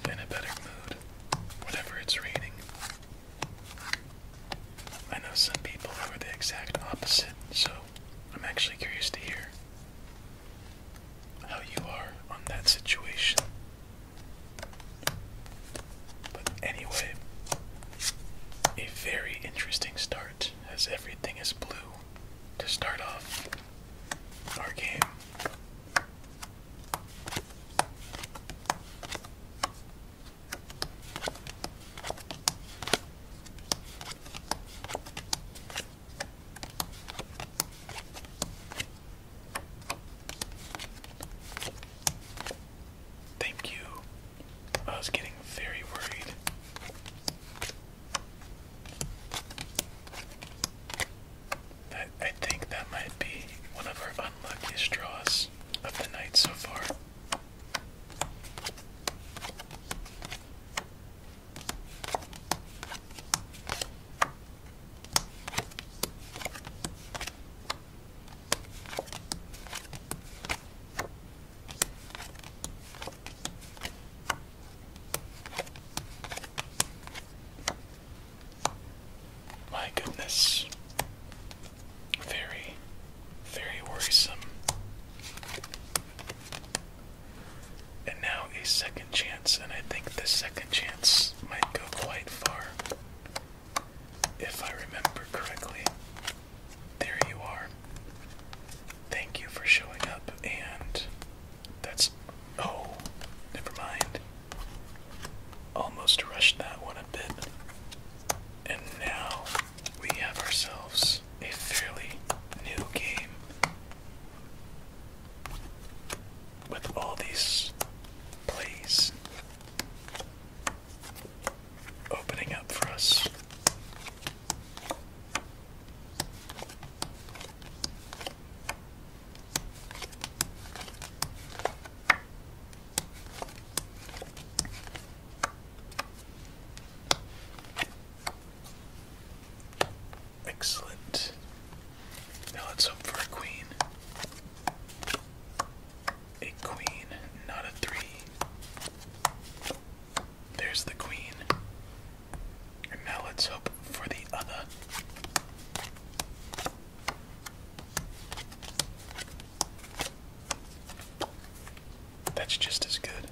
in a better mood whenever it's raining. I know some people are the exact opposite, so I'm actually curious to hear how you are on that situation. But anyway, a very interesting start as everything is blue to start off our game. Thank you. I was getting very worried. That, I think that might be one of our unluckiest draws of the night so far. My goodness. Very, very worrisome. And now a second chance, and I think the second chance might go quite far. If I remember correctly, there you are. Thank you for showing up, and that's. Oh, never mind. Almost rushed that one a bit. And now we have ourselves a fairly new game with all these plays opening up for us. Excellent. Now let's hope for a queen. A queen, not a three. There's the queen. And now let's hope for the other. That's just as good.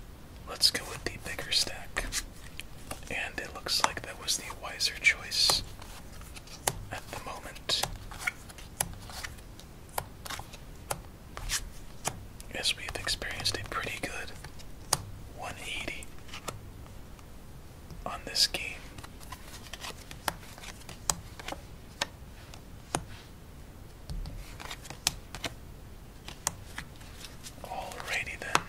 Let's go with the bigger stack. And it looks like that was the wiser choice at the moment. Yes, we've experienced a pretty good 180 on this game. Alrighty then.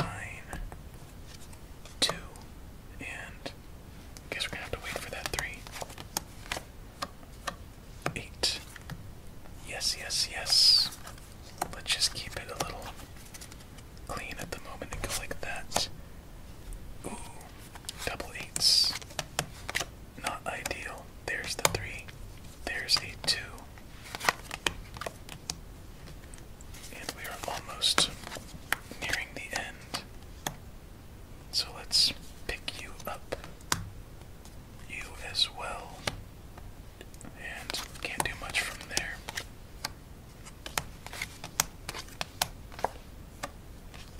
Nine, two, and guess we're gonna have to wait for that three. Eight. Yes, yes, yes. Let's just keep it a little clean at the moment and go like that. Ooh, Double eights. Not ideal. There's the three. There's a two. And we are almost nearing the end. So let's pick you up. You as well. And can't do much from there.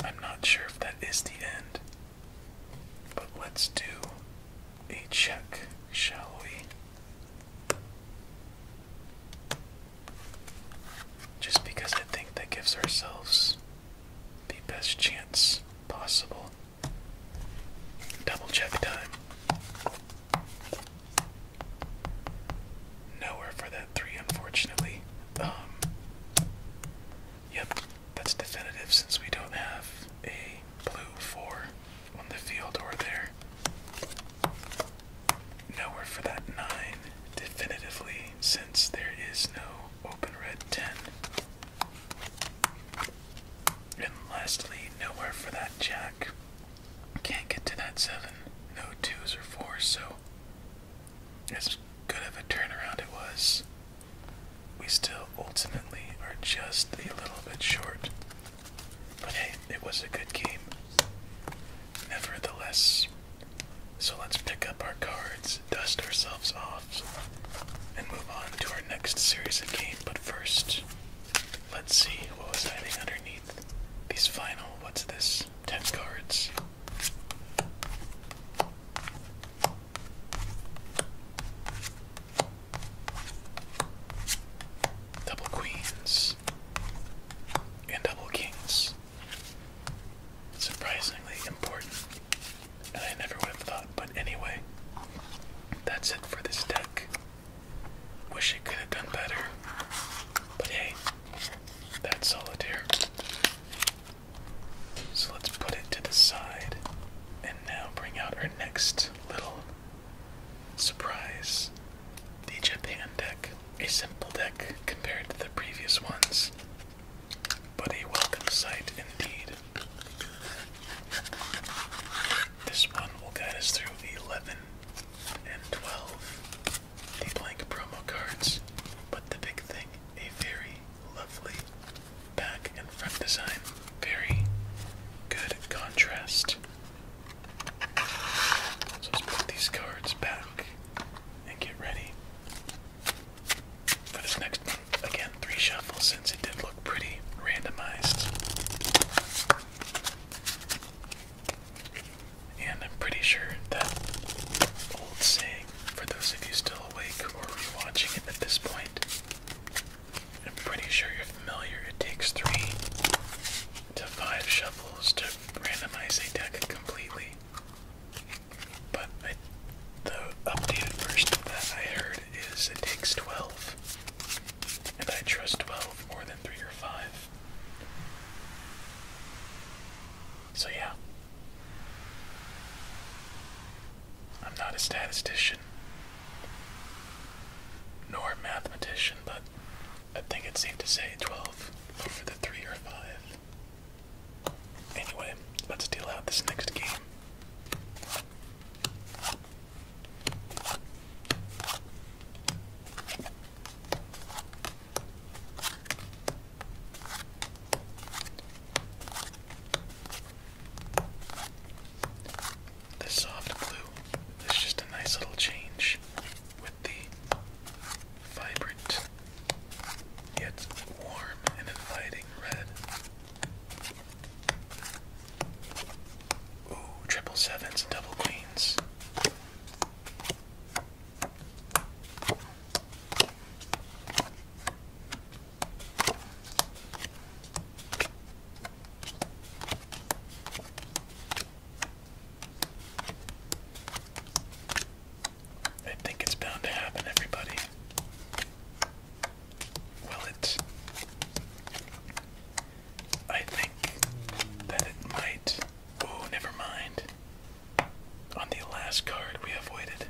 I'm not sure if that is the end, but let's do a check, shall we? Just because I think that gives ourselves the best chance possible. Double check time. Nowhere for that three, unfortunately. Um, yep, that's definitive since we don't have a blue four on the field or there. Nowhere for that nine, definitively, since there is no open red ten. And lastly, nowhere for that jack. Can't get to that seven. No twos or fours, so as good of a turnaround it was, we still ultimately are just a little bit short. But hey, it was a good game. Nevertheless, so let's pick up our cards, dust ourselves off, and move on to our next series of game. But first, let's see what was hiding underneath these final. What's this? ten cards. Double queens and double kings. Surprisingly important. And I never would have thought, but anyway, that's it for this deck. Wish it could have done better, but hey, that's solitaire. So let's put it to the side and now bring out our next little surprise the Japan deck. A simple deck compared to the previous ones, but a welcome sight indeed. This one will guide us through 11 and 12 a blank promo cards, but the big thing, a very lovely back and front design. Very good contrast. So let's put these cards back and get ready for this next one. Again, three shuffles since it did look pretty randomized. And I'm pretty sure that old saying, for those of you still awake or rewatching it at this point, I'm pretty sure you're familiar. It takes three to five shuffles to randomize a deck completely. But the updated version that I heard is it takes 12. And I trust 12 more than 3 or 5. So yeah. I'm not a statistician nor mathematician, but I think it's safe to say 12 over the 3 or 5. Anyway, let's deal out this next game. This soft blue is just a nice little change with the vibrant yet warm and inviting red. Ooh, triple sevens and double queens. I think it's bound to happen, everybody. Will it? I think that it might. Oh, never mind. On the last card, we avoided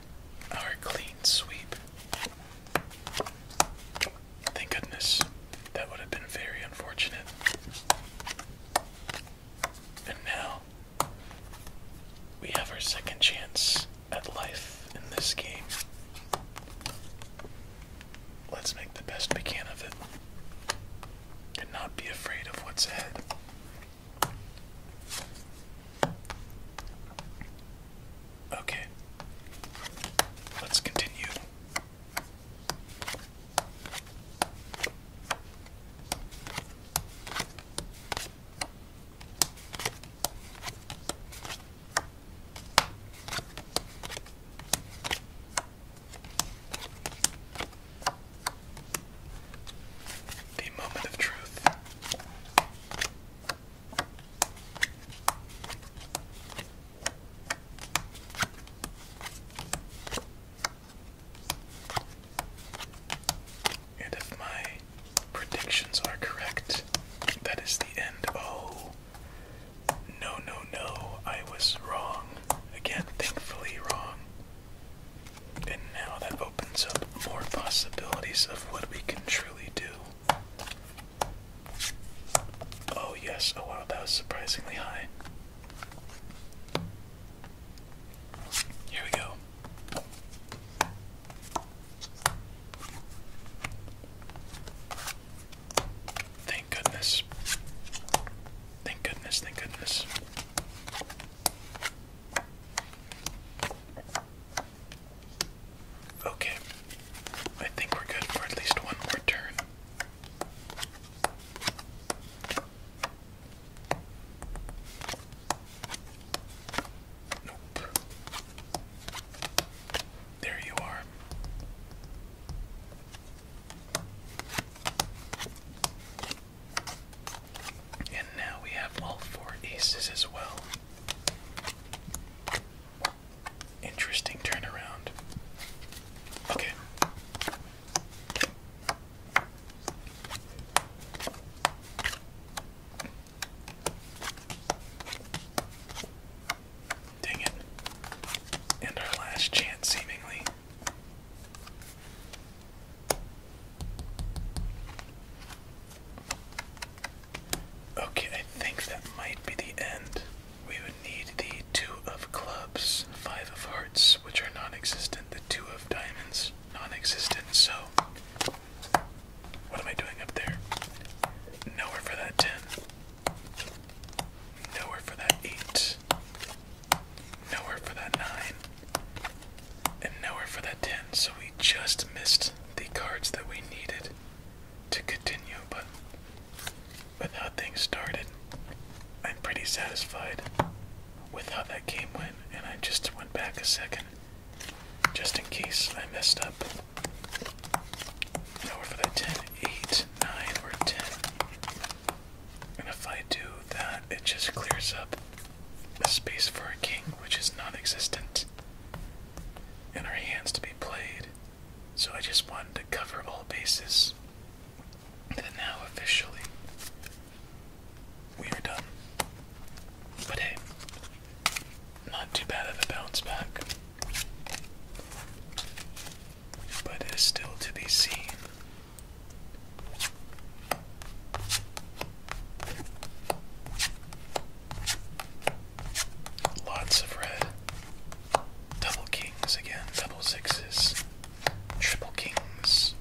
our clean sweep. Thank goodness. That would have been very unfortunate. And now, we have our second chance at life in this game. Let's make the best we can of it and not be afraid of what's ahead. Okay. Let's continue. The moment of truth. if my predictions are correct, that is the end. Oh, no, no, no, I was wrong. Again, thankfully wrong. And now that opens up more possibilities of what we can truly do. Oh, yes, oh wow, that was surprisingly high. Here we go. Thank goodness. Thank goodness, thank goodness. Okay, I think we're good for at least one more turn. There you are. And now we have all four aces as well. Interesting turnaround. Okay. Dang it. And our last chance, seemingly. Okay, I think that might be the end. We would need the two of clubs, five of hearts, which are non existent, the two of diamonds, non existent, so. What am I doing up there? Nowhere for that 10. Nowhere for that 8. Nowhere for that 9. And nowhere for that 10, so we just missed the cards that we needed to continue, but with how things started, I'm pretty satisfied with how that game went, and I just went back a second just in case I messed up. Nowhere for that 10, 9, or 10. And if I do that, it just clears up a space for a king, which is non existent, and our hands to be played. So I just wanted to cover all bases. And now officially, we are done. But hey, not too bad of a bounce back. But it is still to be seen Lots of red. Double kings again, double sixes, triple kings,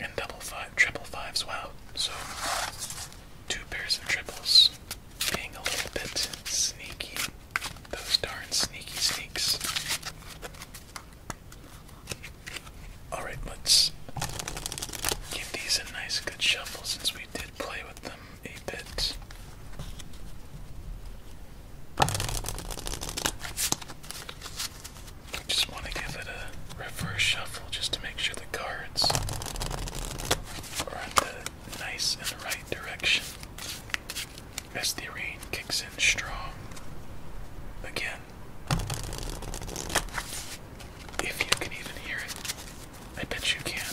and double five, triple fives. Wow. So two pairs of triples being a little bit sneaky. Those darn sneaky sneaks. Alright, let's give these a nice good shuffle since we did play with them a bit. I just want to give it a reverse shuffle just to make sure the cards are in the nice and right direction as the rain kicks in strong again. If you can even hear it, I bet you can.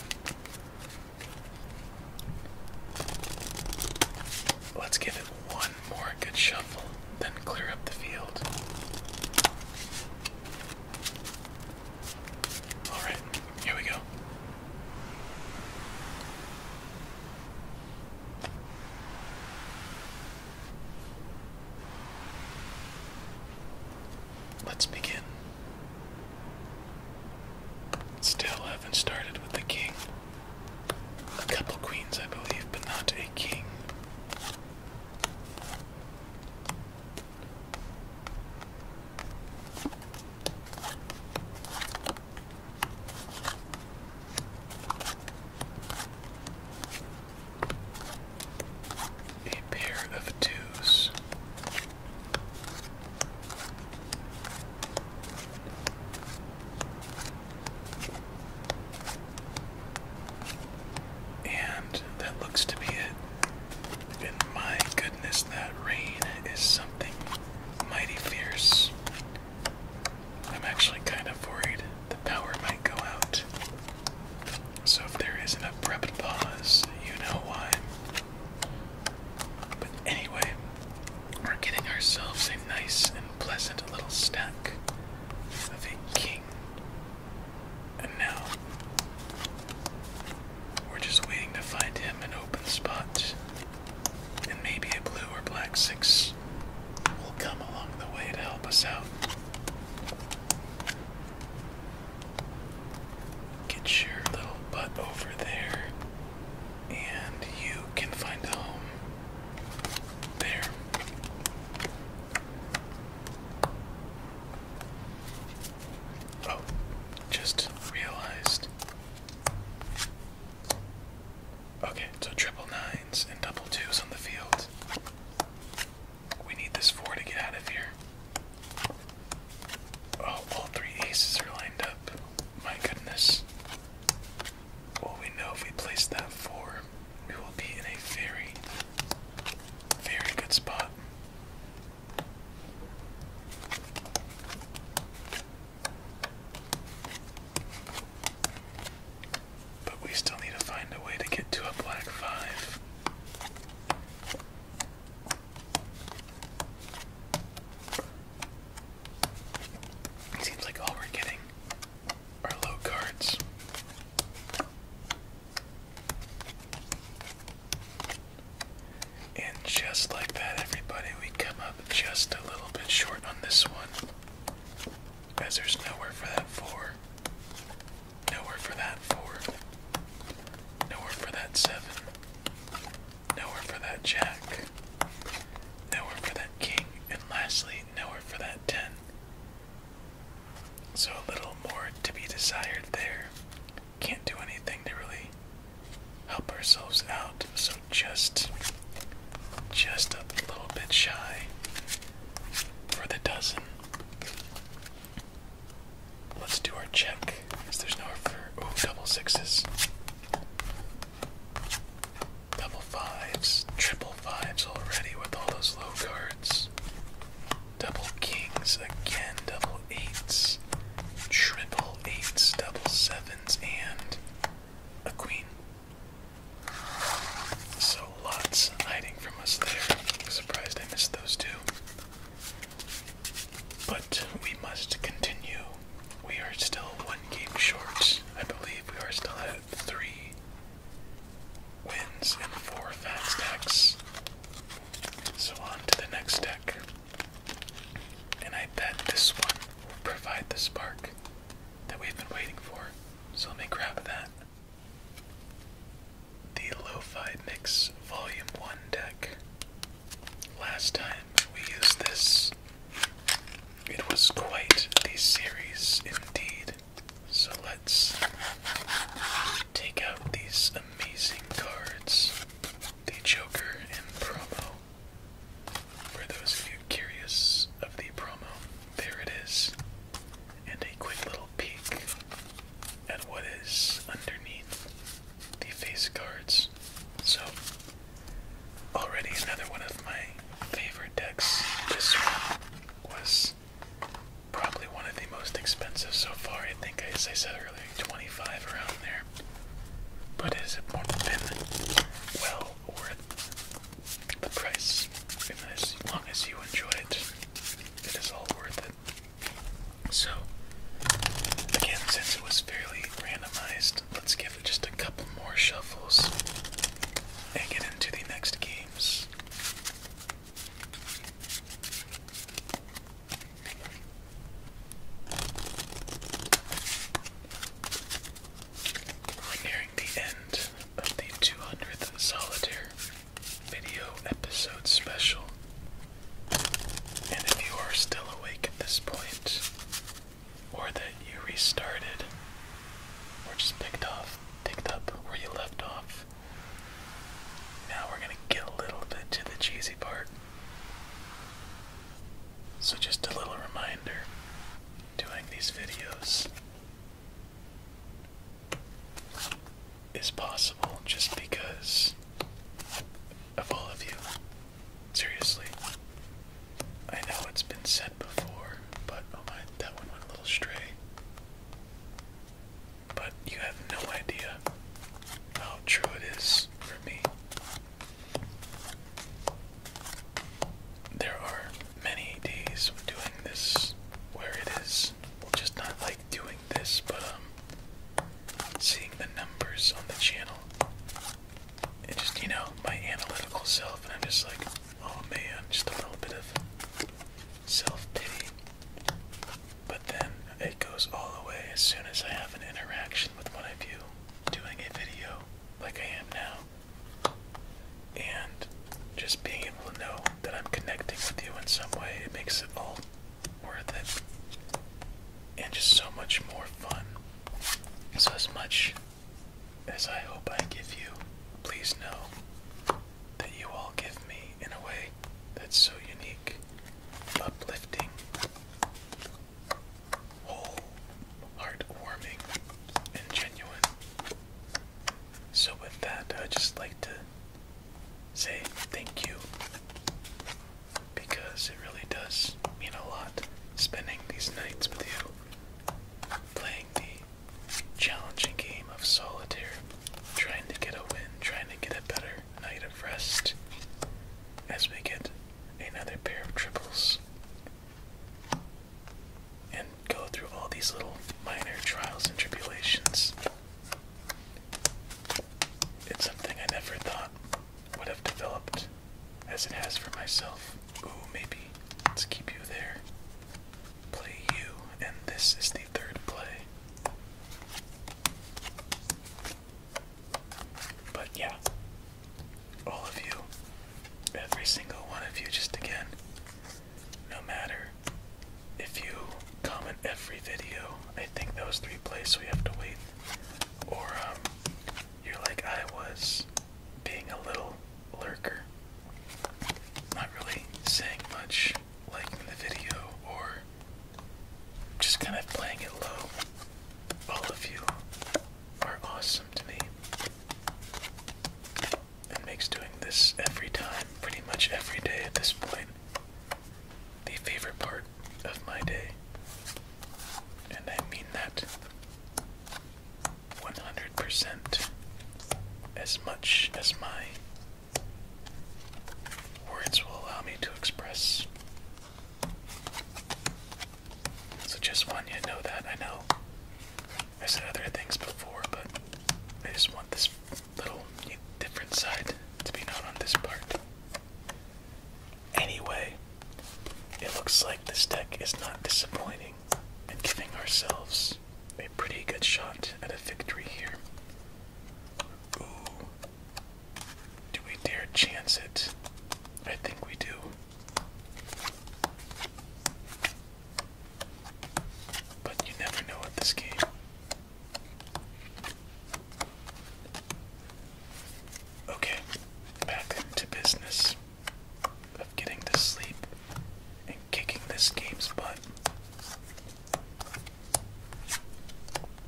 Let's give it one more good shuffle, then clear up the field. Alright, here we go. Let's begin. Still haven't started with the king. A couple queens, I believe, but not a king. A pair of twos. And that looks to be it. my goodness, that rain is something mighty fierce. I'm actually kind of worried the power might go out. So if there an abrupt pause, you know why. But anyway, we're getting ourselves a nice and pleasant little stack of a king. And now, we're just waiting to find him an open spot. And maybe a blue or black six will come along the way to help us out. Get your little butt over there, and you can find a home there. Oh, just realized. Okay, so triple nines and double twos on the field. We need this four to get out of here. Oh, all three aces are lined up. My goodness. Well, we know if we place that four, we will be in a very, very good spot. But we still need to find a way to get to a black five. It seems like all we're getting are low cards. And just like that, everybody, we come up just a little bit short on this one. As there's nowhere for that four. Nowhere for that four. Nowhere for that seven. Nowhere for that jack. Nowhere for that king. And lastly, nowhere for that ten. So a little more to be desired there. Can't do anything to really help ourselves out. So just just a little bit shy for the dozen. Let's do our check. there's no for oh double sixes. Double fives, triple fives already with all those low cards. Double kings again, double eights, triple eights, double sevens, and a queen. So lots hiding from us there. Surprised I missed those two. But we must continue. We are still one game short. I believe we are still at three wins and four fast decks. So on to the next deck. And I bet this one will provide the spark that we've been waiting for. So let me grab that the Lo-Fi Mix Volume 1 deck. Last time we used this, it was quite the series indeed. So let's take out these amazing cards the Joker and promo. For those of you curious of the promo, there it is and a quick little peek at what is underneath the face cards. So, already another one of my favorite decks. This one was probably one of the most expensive so far. I think, as I said earlier, 25 around there. But it has been well worth the price. And as long as you enjoy it, it is all worth it. So, again, since it was fairly randomized, let's give it just a couple more shuffles and get into the next games. We're nearing the end of the 200th solitaire video episode special. And if you are still awake at this point, or that you restarted, or just picked off, picked up where you left off, now we're gonna get a little bit to the cheesy part. So, just a little reminder doing these videos, is possible just because of all of you. Seriously. I know it's been said before, but oh my, that one went a little stray. But you have no idea how true it is for me. There are many days of doing this where it is numbers. Just not like doing this, but um, seeing the numbers on the channel. And just, you know, my analytical self, and I'm just like, oh man, just a little bit of self pity. But then it goes all the way as soon as I have an interaction with one of you doing a video like I am now. And just being able to know that I'm connecting with you in some way, it makes it all worth it and just so much more fun. So, as much as I hope I give you, please know that you all give me in a way that's so unique, uplifting, whole, heartwarming, and genuine. So, with that, I'd just like to say thank you because it really does mean a lot spending these nights with you, playing the challenging game of solitaire, trying to get a win, trying to get a better night of rest as we get another pair of triples and go through all these little minor trials and tribulations. It's something I never thought would have developed as it has for myself. Ooh, maybe. Let's keep you there. Play you, and this is the third play. But yeah, all of you, every single one of you, just again, no matter if you comment every video. I think those three plays, we have to wait. Or um, you're like I was, being a little lurker, not really saying much, liking the video, or just kind of playing it low. All of you are awesome to me. It makes doing this every time, pretty much every day at this point, the favorite part of my day. And I mean that 100% as much as my words will allow me to express. So just want you to know that. I know I said other things before, but I just want this little different side to be known on this part. Anyway, it looks like this deck is not disappointing and giving ourselves a pretty good shot at a victory here. Ooh. Do we dare chance it? I think we do. But you never know with this game. Okay, back to business of getting to sleep and kicking this game's butt.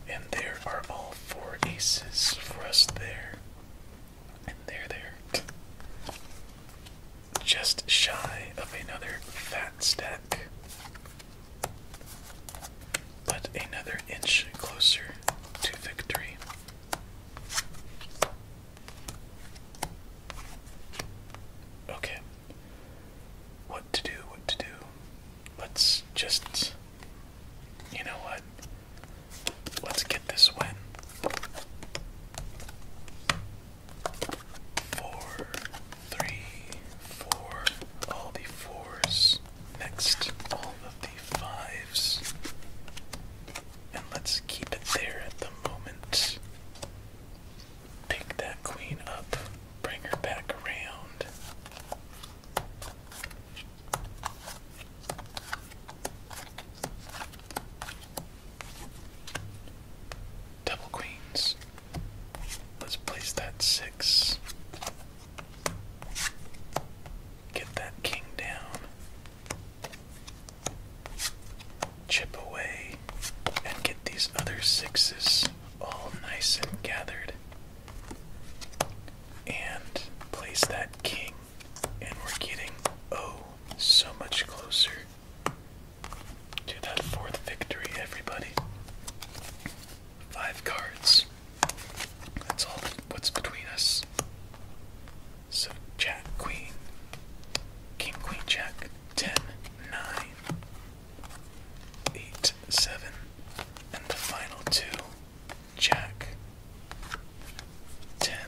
And there are all four aces for us there. And there, there. Just shy of another fat stack but another inch closer to victory. Okay. What to do, what to do. Let's just. You know what? Let's get this win. Four, three, four, all the fours. Next, all of the fives. And let's keep it there at the moment. Pick that queen up, bring her back around. Double queens. Let's place that six. Get that king down. Chip away and get these other sixes all nice and gathered. And place that king, and we're getting oh so much closer to that fourth victory, everybody. Five cards. That's all what's between us. So Jack, Queen, King, Queen, Jack, ten, nine, eight, seven, and the final two Jack, ten,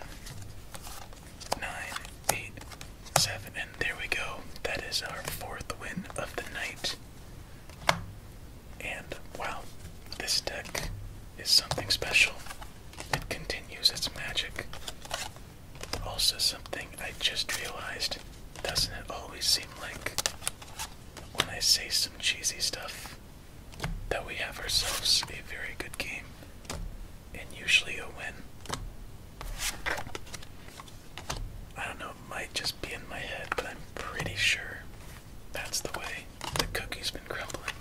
nine, eight, seven, and there we go. That is our fourth win of the night. And wow, this deck is something special. It continues its magic. Also, something I just realized doesn't it always seem like when I say some cheesy stuff that we have ourselves a very good game and usually a win? I don't know, it might just be in my head, but I'm pretty sure that's the way the cookie's been crumbling.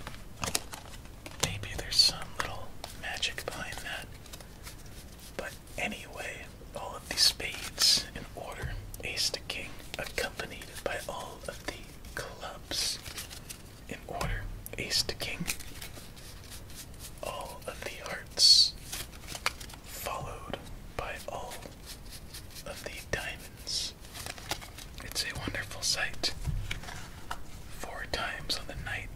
Maybe there's some little magic behind that. But anyway, all of the spades in order, ace to king, accompanied by all of the clubs in order, ace to king. All of the hearts, followed by all of the diamonds. It's a wonderful sight. Four times on the night.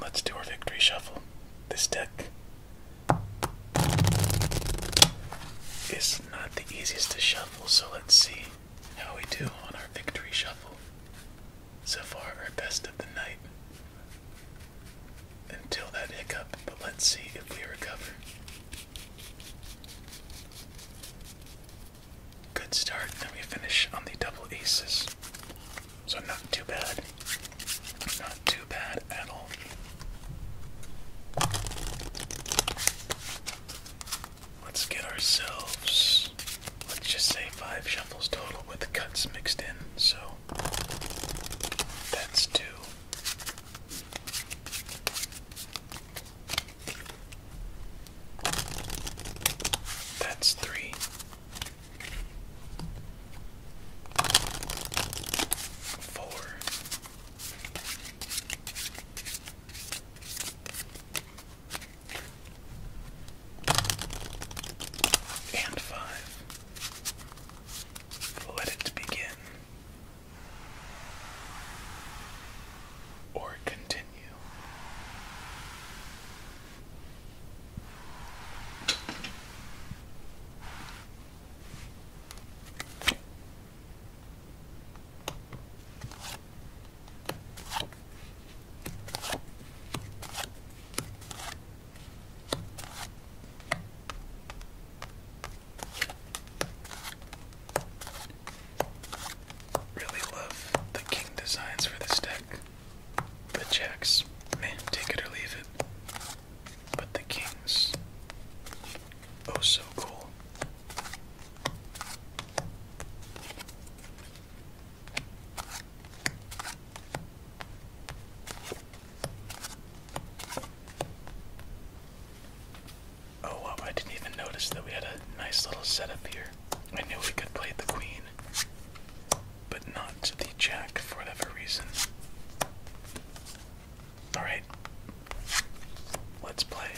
Let's do our victory shuffle. This deck is not the easiest to shuffle, so let's see how we do on our victory shuffle. So far, our best of the night until that hiccup, but let's see if we recover. Good start, and we finish on the double aces. So, not too bad. Not too bad at all. Let's get ourselves, let's just say, five shuffles total with cuts mixed in. So, that's two, that's three. Four. And five. Let it begin or continue. Really love the king designs for this deck. The jacks, man, take it or leave it. But the kings, oh so cool. Oh I didn't even notice that we had a nice little setup here. I knew we could play the queen, but not the jack for whatever reason. Alright, let's play.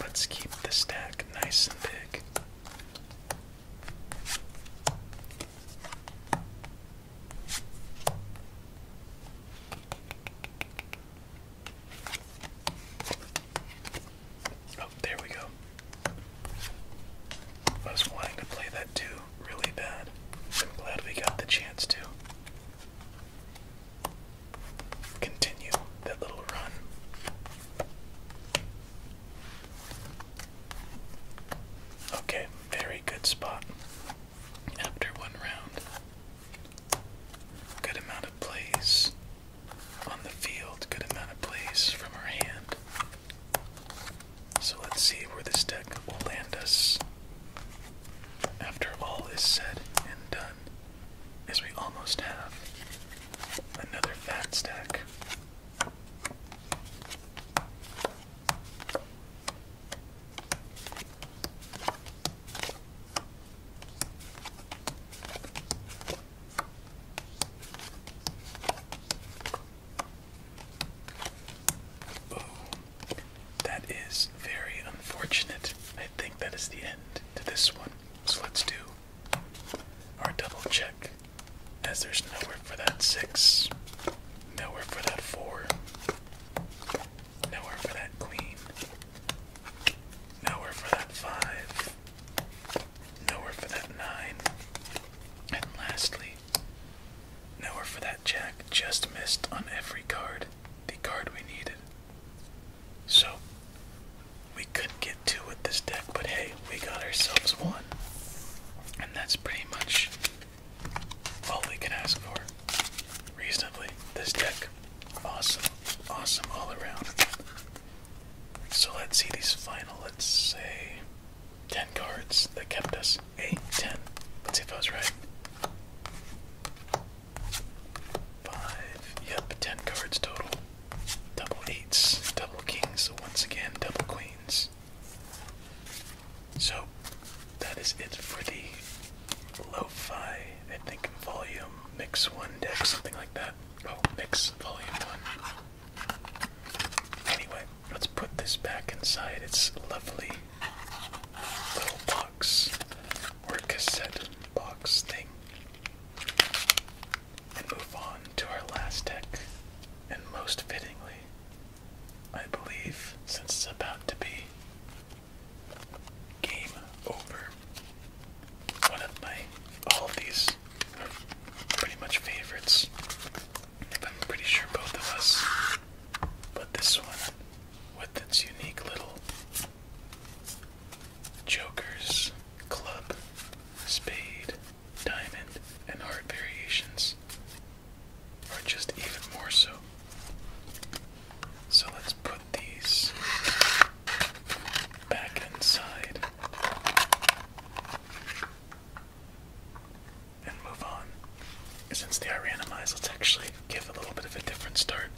Let's keep the stack nice and big. Oh, there we go. I was wanting to play that too really bad. I'm glad we got the chance to continue that little run. Okay, very good spot. After one round, good amount of plays on the field, good amount of plays from our hand. So let's see where this deck will land us after all is said and done, as we almost have another fat stack Oh, that is very unfortunate. I think that is the end to this one. So let's do our double check, as there's nowhere for that six, nowhere for that four, nowhere for that queen, nowhere for that five, nowhere for that nine, and lastly, nowhere for that jack. Just missed on every card the card we needed. So, we couldn't get two with this deck, but hey, we got ourselves one. And that's pretty much all we can ask for. Reasonably. This deck. Awesome. Awesome all around. So let's see these final, let's say, 10 cards that kept us. 8, 10. Let's see if I was right. 5, yep, 10 cards total. Double eights, double kings, So once again, double queens. So that is it for the lo fi, I think, volume mix one deck, something like that. Oh, mix volume one. Anyway, let's put this back inside its lovely little box or cassette box thing and move on to our last deck, and most fittingly, I believe, since it's about to be game over. One of my, all of these are pretty much favorites. I'm pretty sure both of us. put this one, with its unique little Joker's Club Spade diamond, and heart variations are just even more so. So let's put these back inside and move on. Since they are randomized, let's actually give a little bit of a different start.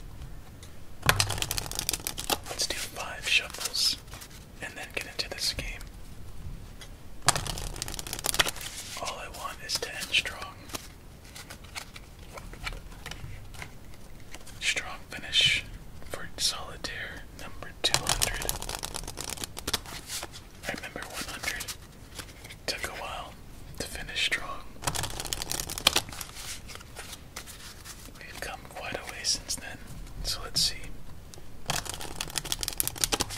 Let's do five shuffles and then get into this game. All I want is to end strong. Strong finish for solitaire number 200. I remember 100. Took a while to finish strong. We've come quite a way since then, so let's see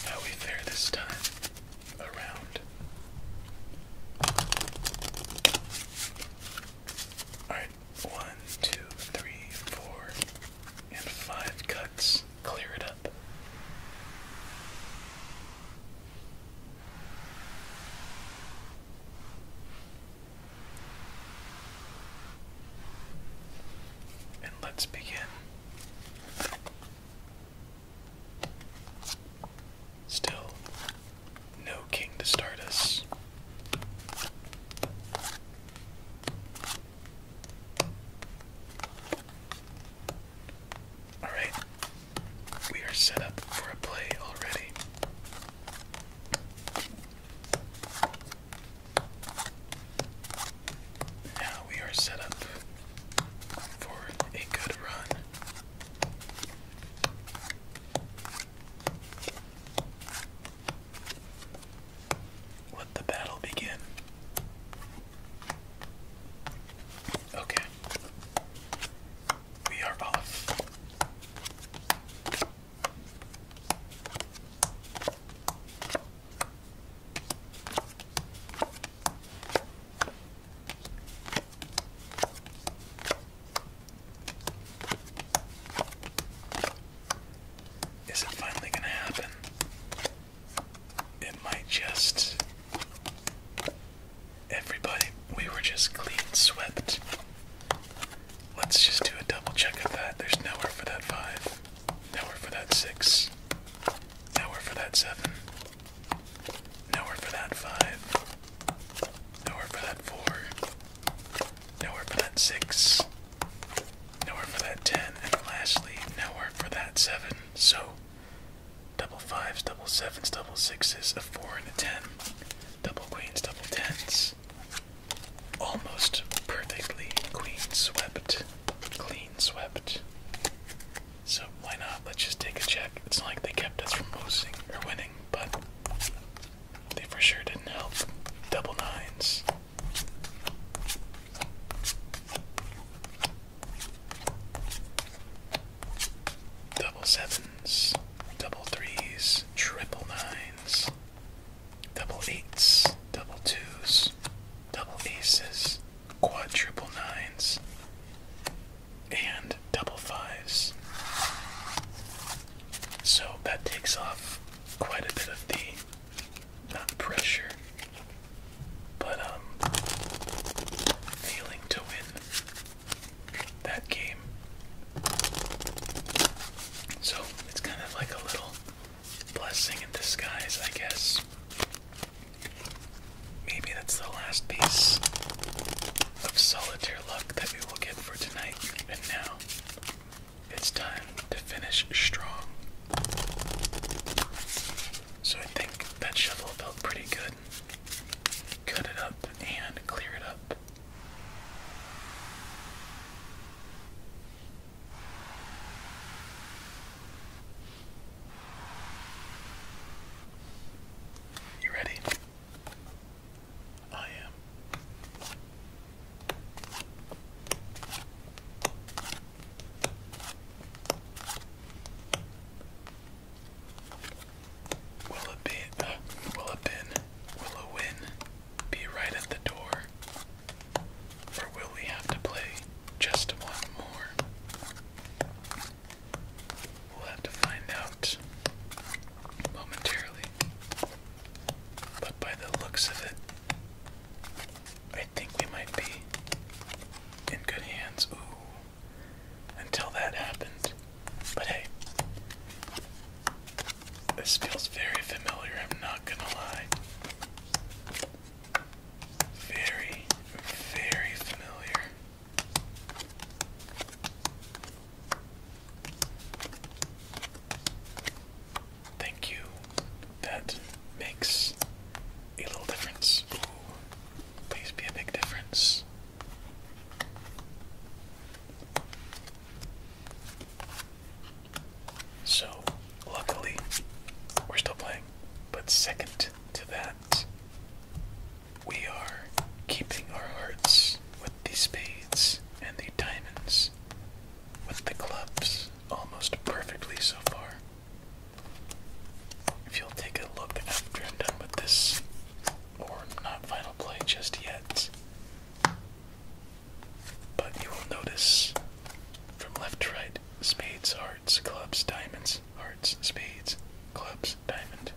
how we fare this time around. Alright, one, two, three, four, and five cuts. Clear it up. And let's begin. Still, no king to start us. Alright, we are set up for a play already. Now we are set up for a good run. Let the battle begin. Okay. We are off. Is it finally going to happen? It might just. Everybody, we were just clean swept. Let's just do a double check of that. There's nowhere for that five. Now we're for that six. Now we're for that seven. Now we're for that five. Now we're for that four. Now we're for that six. Now we're for that ten. And lastly, now we're for that seven. So double fives, double sevens, double sixes, a four and a ten. Double queens, double tens. Almost perfectly queen swept. Clean swept. So why not? Let's just take a check. It's not like they kept us from losing or winning, but they for sure didn't help. Double nines. Double sevens, double threes, triple nines, double eights, double twos, double aces, quadruple nines, and double fives. So that takes off quite a bit of the not pressure, but um feeling to win that game. So it's kind of like a little blessing in disguise, I guess. Maybe that's the last piece of solitaire luck that we will get for tonight. And now it's time to finish strong. So I think that shovel felt pretty good. Cut it up and clear it up. You ready? I am. Will a bin, will a bin, will a win be right at the door? more? will we have to play just one more? We'll have to find out momentarily. But by the looks of it, I think we might be in good hands. Ooh. Until that happened. But hey, this feels very familiar, I'm not gonna lie. Very, very familiar. Thank you. That makes a little difference. please be a big difference. So, luckily, we're still playing. But second to that, we are keeping our hearts with the spades and the diamonds, with the clubs almost perfectly so far. If you'll take a look after I'm done with this, or not final play just yet, but you will notice from left to right, spades, hearts, clubs, diamonds, hearts, spades, clubs, diamond.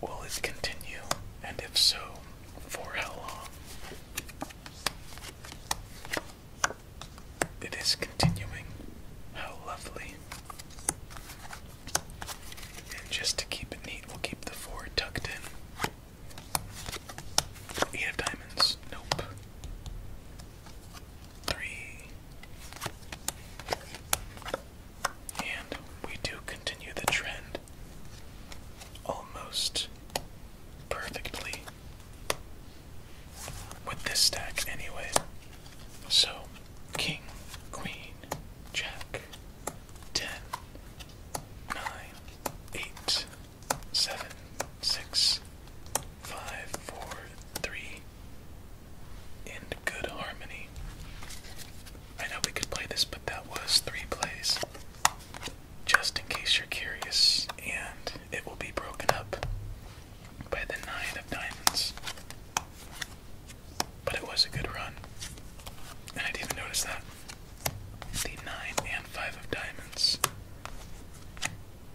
Will it continue? And if so, for how long? It is continuing. How lovely. And just to keep it neat, we'll keep the four tucked in. Eight of diamonds. Nope. Three. And we do continue the trend almost perfectly with this stack, anyway. So, king, queen, jack, ten, nine, eight, seven, six, five, four, three, and good harmony. I know we could play this, but that was three plays. Just in case you're curious, and it will be broken up by the nine of diamonds. But it was a good run. And I didn't notice that. The nine and five of diamonds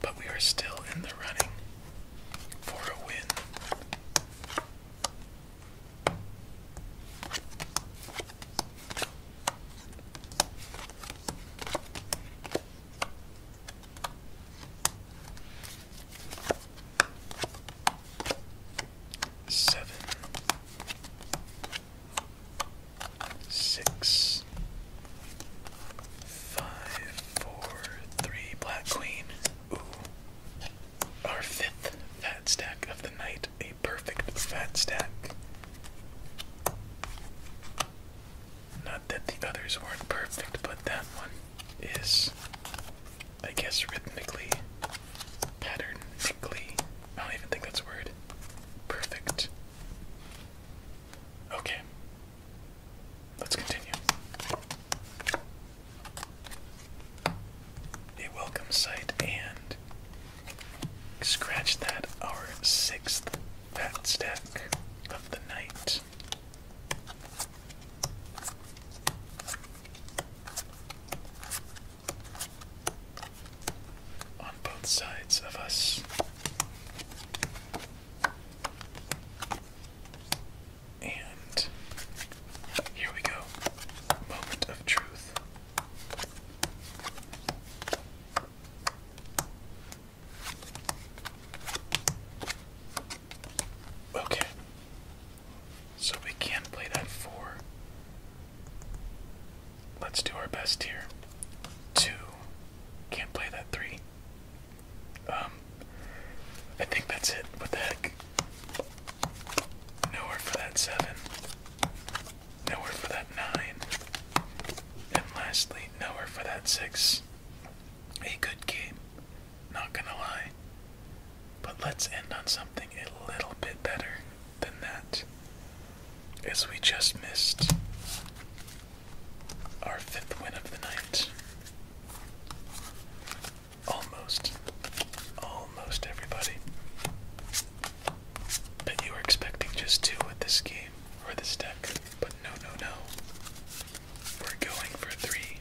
but we are still in the running for a win. Seven, six, five, four, three, black queen. Ooh. Our fifth fat stack of the night. A perfect fat stack. Not that the others weren't perfect, but that one is, I guess, rhythmically, patternically, I don't even think that's a word, perfect. Okay. Let's continue. A welcome sight and scratch that our sixth fat stack of the night on both sides of us. And here we go. Moment of truth. Okay. So we can play that four. Let's do our best here. Two. Can't play that three. Um, I think that's it. What the heck? Nowhere for that seven. Nowhere for that nine. And lastly, nowhere for that six. A good game. Not gonna lie. But let's end on something a little bit better than that as we just missed our fifth win of the night. Almost. Almost everybody. But you were expecting just two with this game or this deck. But no, no, no. We're going for three.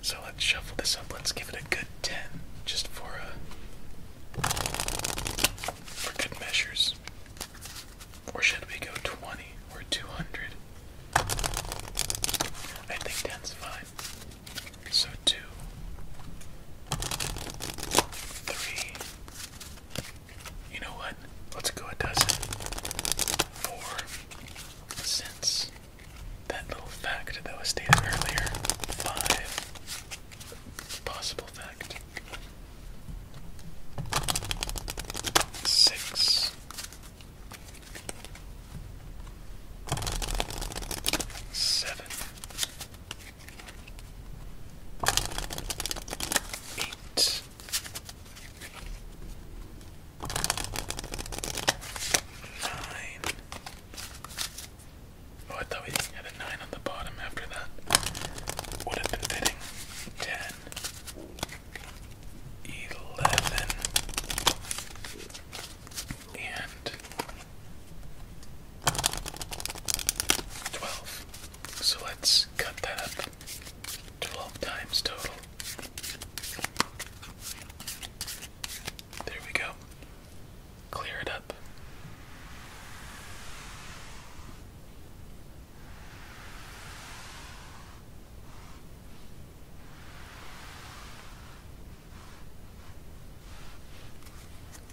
So let's shuffle this up. Let's give it a good 10 just for, uh, for good measures. Or should we go 20 or 200? I think that's fine. So two, three. You know what? Let's go a dozen. Four. Since that little fact that was stated earlier. Five possible fact. Six. Seven. Eight. Nine. Oh, I thought we had 9 on the bottom after that. Would have fitting. 10, and 12. So let's cut that up 12 times total. There we go. Clear it up.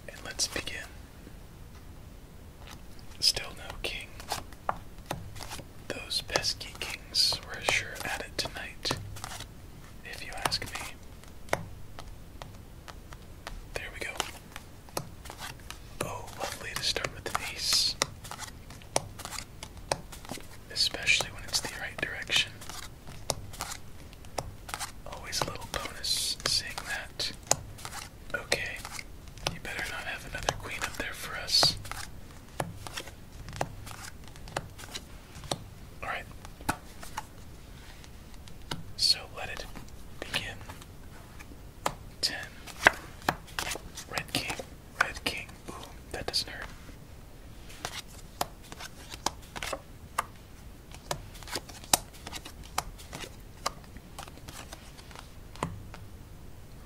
And let's begin. Still no king. Those pesky kings were sure at it tonight, if you ask me. There we go. Oh, lovely to start with an ace. Especially when it's the right direction. Always a little bonus seeing that. Okay, you better not have another queen up there for us. Alright. So let it begin ten. Red king, red king. Ooh, that doesn't hurt.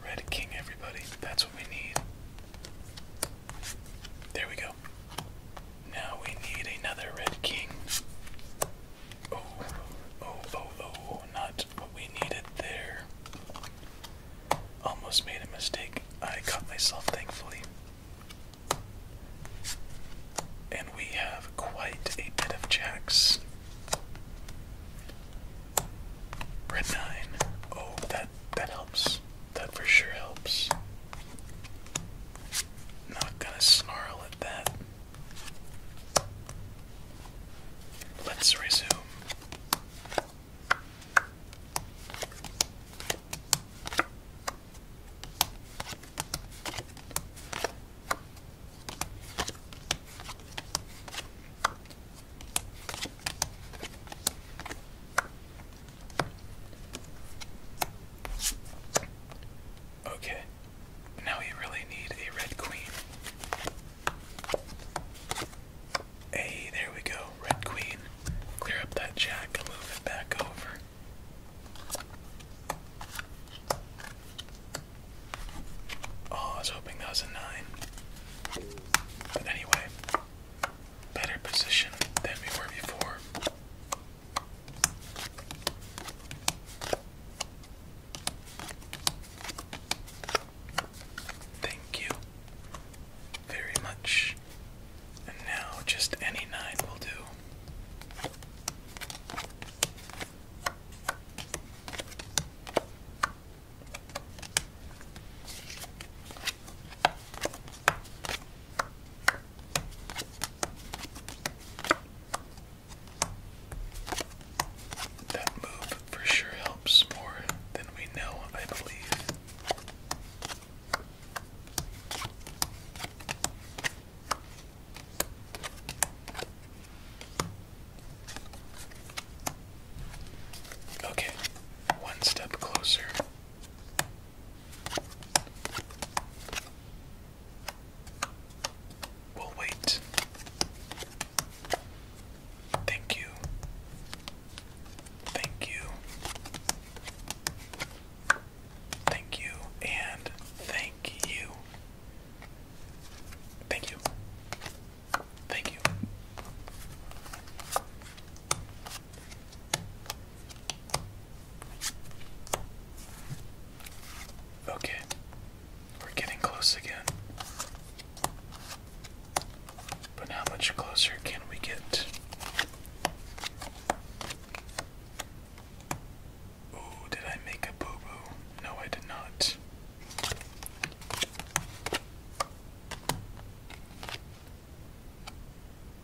Red king, everybody. That's what we need. There we go. Now we need another red king. Oh, oh, oh, oh, not what we needed there. Almost made a mistake. I caught myself, thankfully. And we have quite a bit of jacks. Red nine. Oh, that that helps. That for sure helps. Not gonna snarl at that. Let's resume. Okay, now we really need a red queen. Hey, there we go, red queen. Clear up that jack and move it back over. Oh, I was hoping that was a nine. But anyway, better position than we were before. Thank you very much. And now just any nine will do. That move for sure helps more than we know, I believe. Okay, one step closer. We'll wait. Thank you. Thank you. Thank you. And thank you. Thank you. Thank you. Okay. We're getting close again. But how much closer can we get? Oh, did I make a boo boo? No, I did not.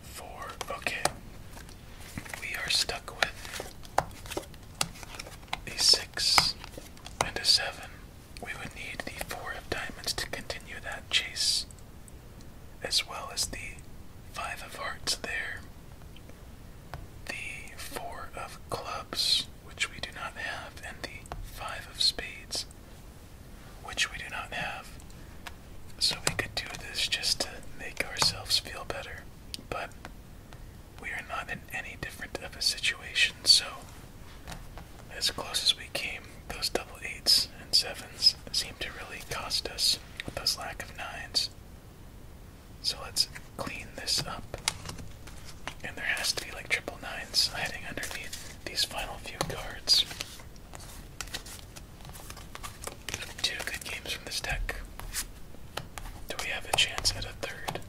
Four. Okay. We are stuck with a 7 and a seven. We would need the four of diamonds to continue that chase, as well as the five of hearts there. The four of clubs, which we do not have, and the five of spades, which we do not have. So we could do this just to make ourselves feel better, but we are not in any different of a situation, so as close as we came, those double eights and sevens seem to really cost us with those lack of nines. So let's clean this up. And there has to be like triple nines hiding underneath these final few cards. Two good games from this deck. Do we have a chance at a third?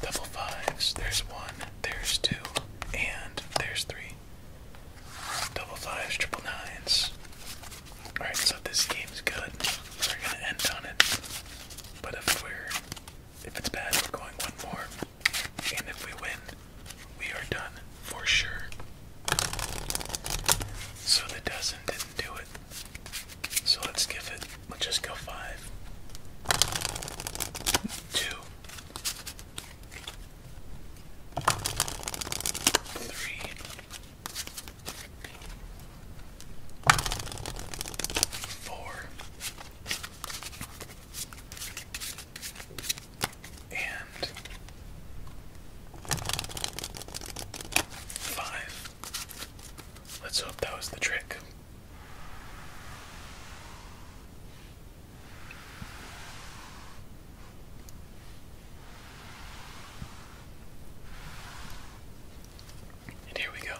Double fives. There's one, there's two, and there's three. Double fives, triple nines. Alright, so this game's good. We're gonna end on it. But if we're if it's bad, we're going one more. And if we win, we are done for sure. So the dozen didn't do it. So let's give it, let's just go five, two, three, four, and five. Let's hope that was the trick. And here we go.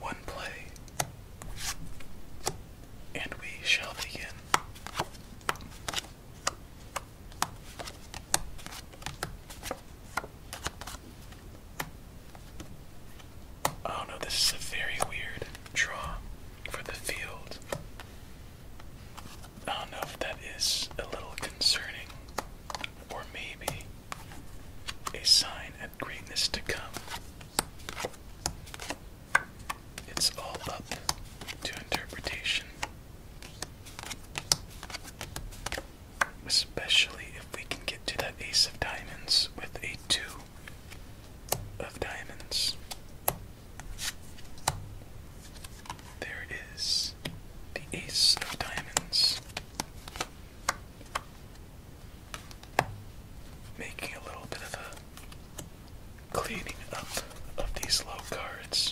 One play and we shall begin. Oh no, this is a very weird draw for the field. I don't know if that is a little concerning, or maybe a sign of greatness to come. It's all up to interpretation. Especially if we can get to that ace of diamonds with a two of diamonds. There is the ace of diamonds making a little bit of a cleaning up of these low cards.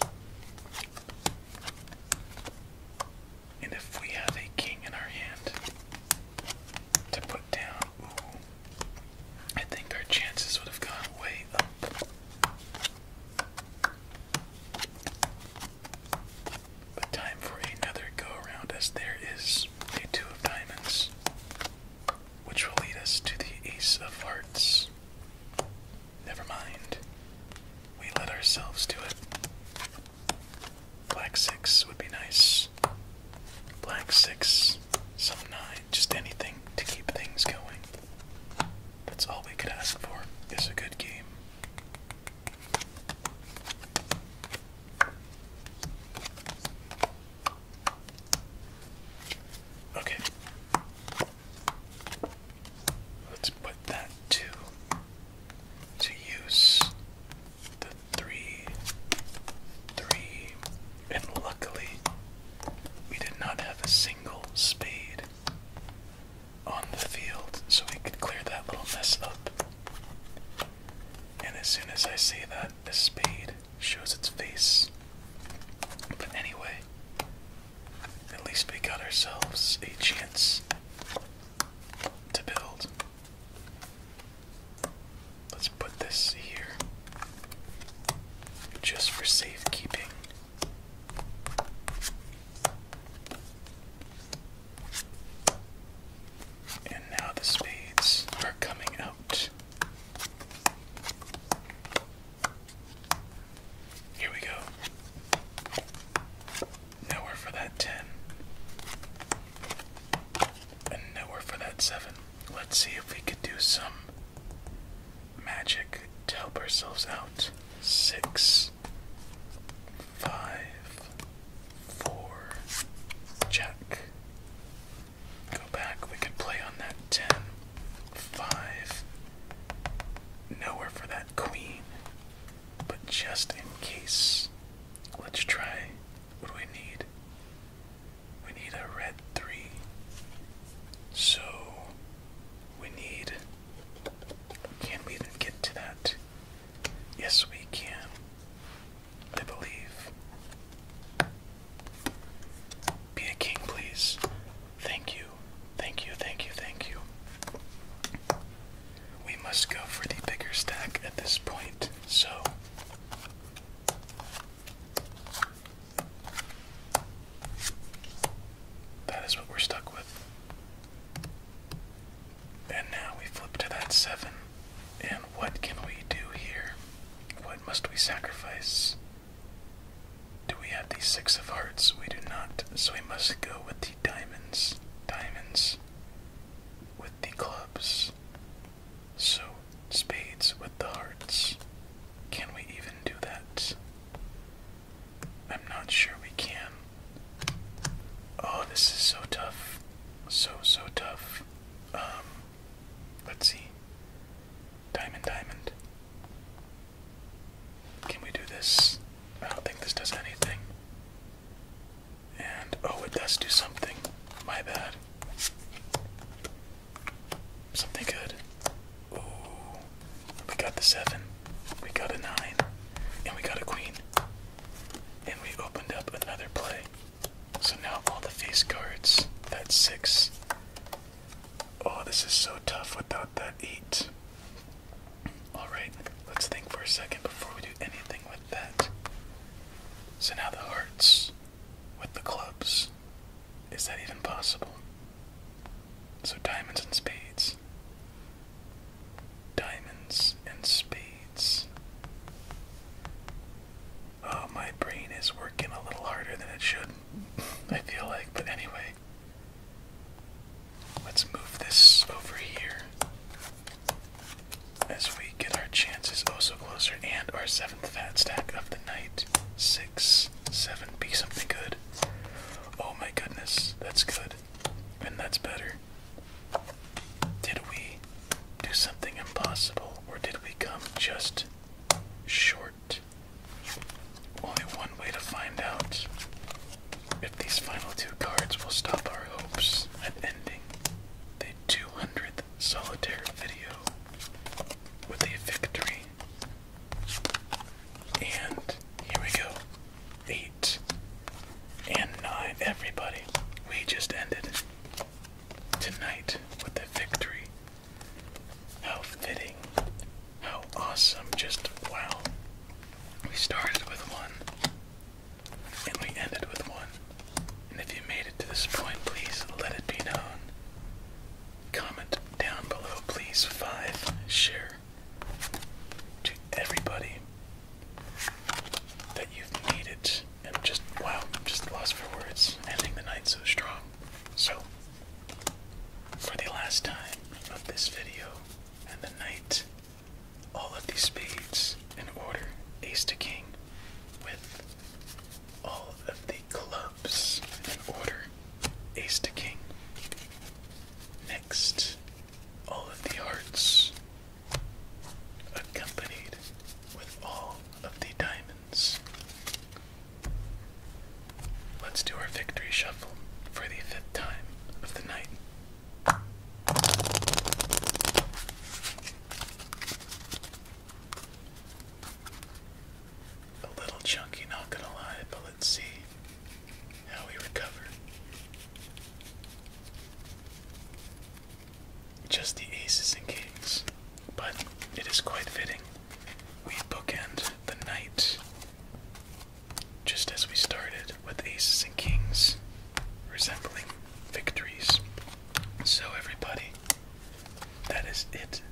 And if we have a king in our hand to put down, I think our chances would have gone way up. But time for another go around as there is a two of diamonds which will lead us to the Ace of Hearts. Never mind. We let ourselves do it. Black six would be nice. Black six, some nine, just anything to keep things going. That's all we could ask for is a good game. Okay. Let's put that to to use the three three and luckily we did not have a single spade on the field so we could clear that little mess up. And as soon as I see that, the spade shows its face. But anyway, at least we got ourselves a chance to build. Let's put this here just for safekeeping. And now the spades are coming out. Here we go. Nowhere for that 10. And nowhere for that 7. Let's see if we could do some magic to help ourselves out. 6, 5, jack, Go back. We can play on that 10, 5. Nowhere for that queen. But just in case, let's try. What do we need? We need a red 3. So, we need. Can we even get to that? Yes, we can. I believe. Be a king, please. Thank you. Thank you, thank you, thank you. We must go for the bigger stack at this point, so. That is what we're stuck with. And now we flip to that seven. And what can we do here? What must we sacrifice? Do we have the six of hearts? We do not, so we must go with the diamonds. Diamonds with the clubs. So, spades with the hearts. Can we even do that? I'm not sure we can. Oh, this is so tough. So, so tough. Um, Let's see. Diamond, diamond. Can we do this? I don't think this does anything. And, oh, it does do something. My bad. Something good. Ooh. We got the seven. We got a nine. And we got a queen. And we opened up another play. So now all the face cards, that's six. Oh, this is so tough without that eight. Alright, let's think for a second before we do anything with that. So now the hearts with the clubs. Is that even possible? So diamonds and spades. Diamonds and spades. Oh, my brain is working a little harder than it should, I feel like. But anyway, let's move this over here as we get our chances also oh closer and our seventh fat stack of the night. Six, seven, be something good. Oh my goodness, that's good. And that's better. Did we do something impossible or did we come just short. Only one way to find out if these final two cards will stop our hopes at ending the 200th solitaire video with a victory. And here we go. Eight and nine, everybody. We just ended tonight with a victory. How fitting. How awesome. Just wow. We started with one and we ended with one. And if you made it to this point, please let it be known. Comment down below, please. Five. Share to everybody that you've it, And just, wow, just lost for words. Ending the night so strong. So, for the last time of this video and the night, all of these spades in order, ace to king, with all of the clubs in order, ace to king. Next, all of the hearts, accompanied with all of the diamonds. Let's do our victory shuffle for the fifth time of the night. A little chunky, not gonna lie, but let's see how we recover. Just the aces and kings but it is quite fitting. We bookend the night just as we started with aces and kings resembling victories. So, everybody, that is it.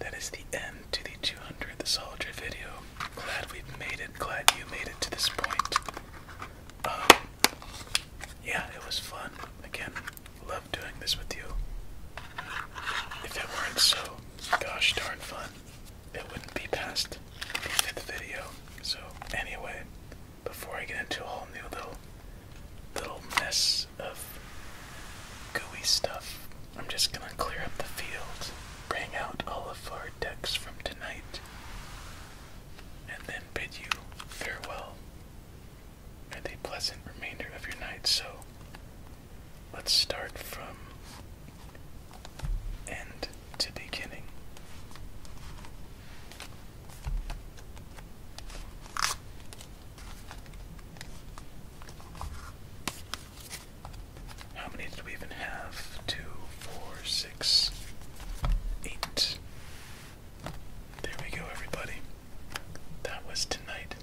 That is the end to the 200 The Soldier video. Glad we made it. Glad you made it to this point. Um, yeah, it was fun. Again, Love doing this with you. If it weren't so gosh darn fun, it wouldn't be past the fifth video. So anyway, before I get into a whole new little little mess of gooey stuff, I'm just gonna clear up the field, bring out all of our decks from tonight, and then bid you farewell and a pleasant remainder of your night. So let's start from end to beginning. How many did we even have? Two, four, six, eight. There we go, everybody. That was tonight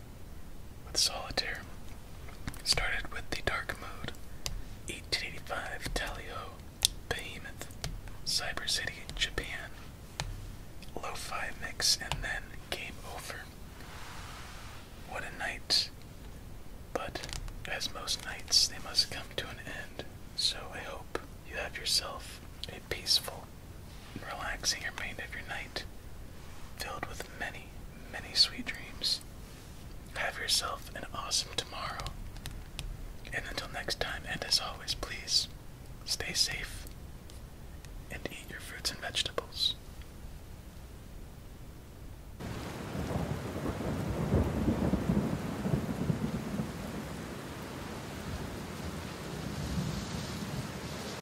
with Solitaire. Started with the Dark Mode, 1885 Talio, Behemoth, Cyber City, Japan, Lo-Fi Mix, and then Game Over. What a night! But as most nights, they must come to an end. So I hope you have yourself a peaceful relaxing remainder of your night, filled with many, many sweet dreams. Have yourself an awesome tomorrow. And until next time, and as always, please stay safe and eat your fruits and vegetables.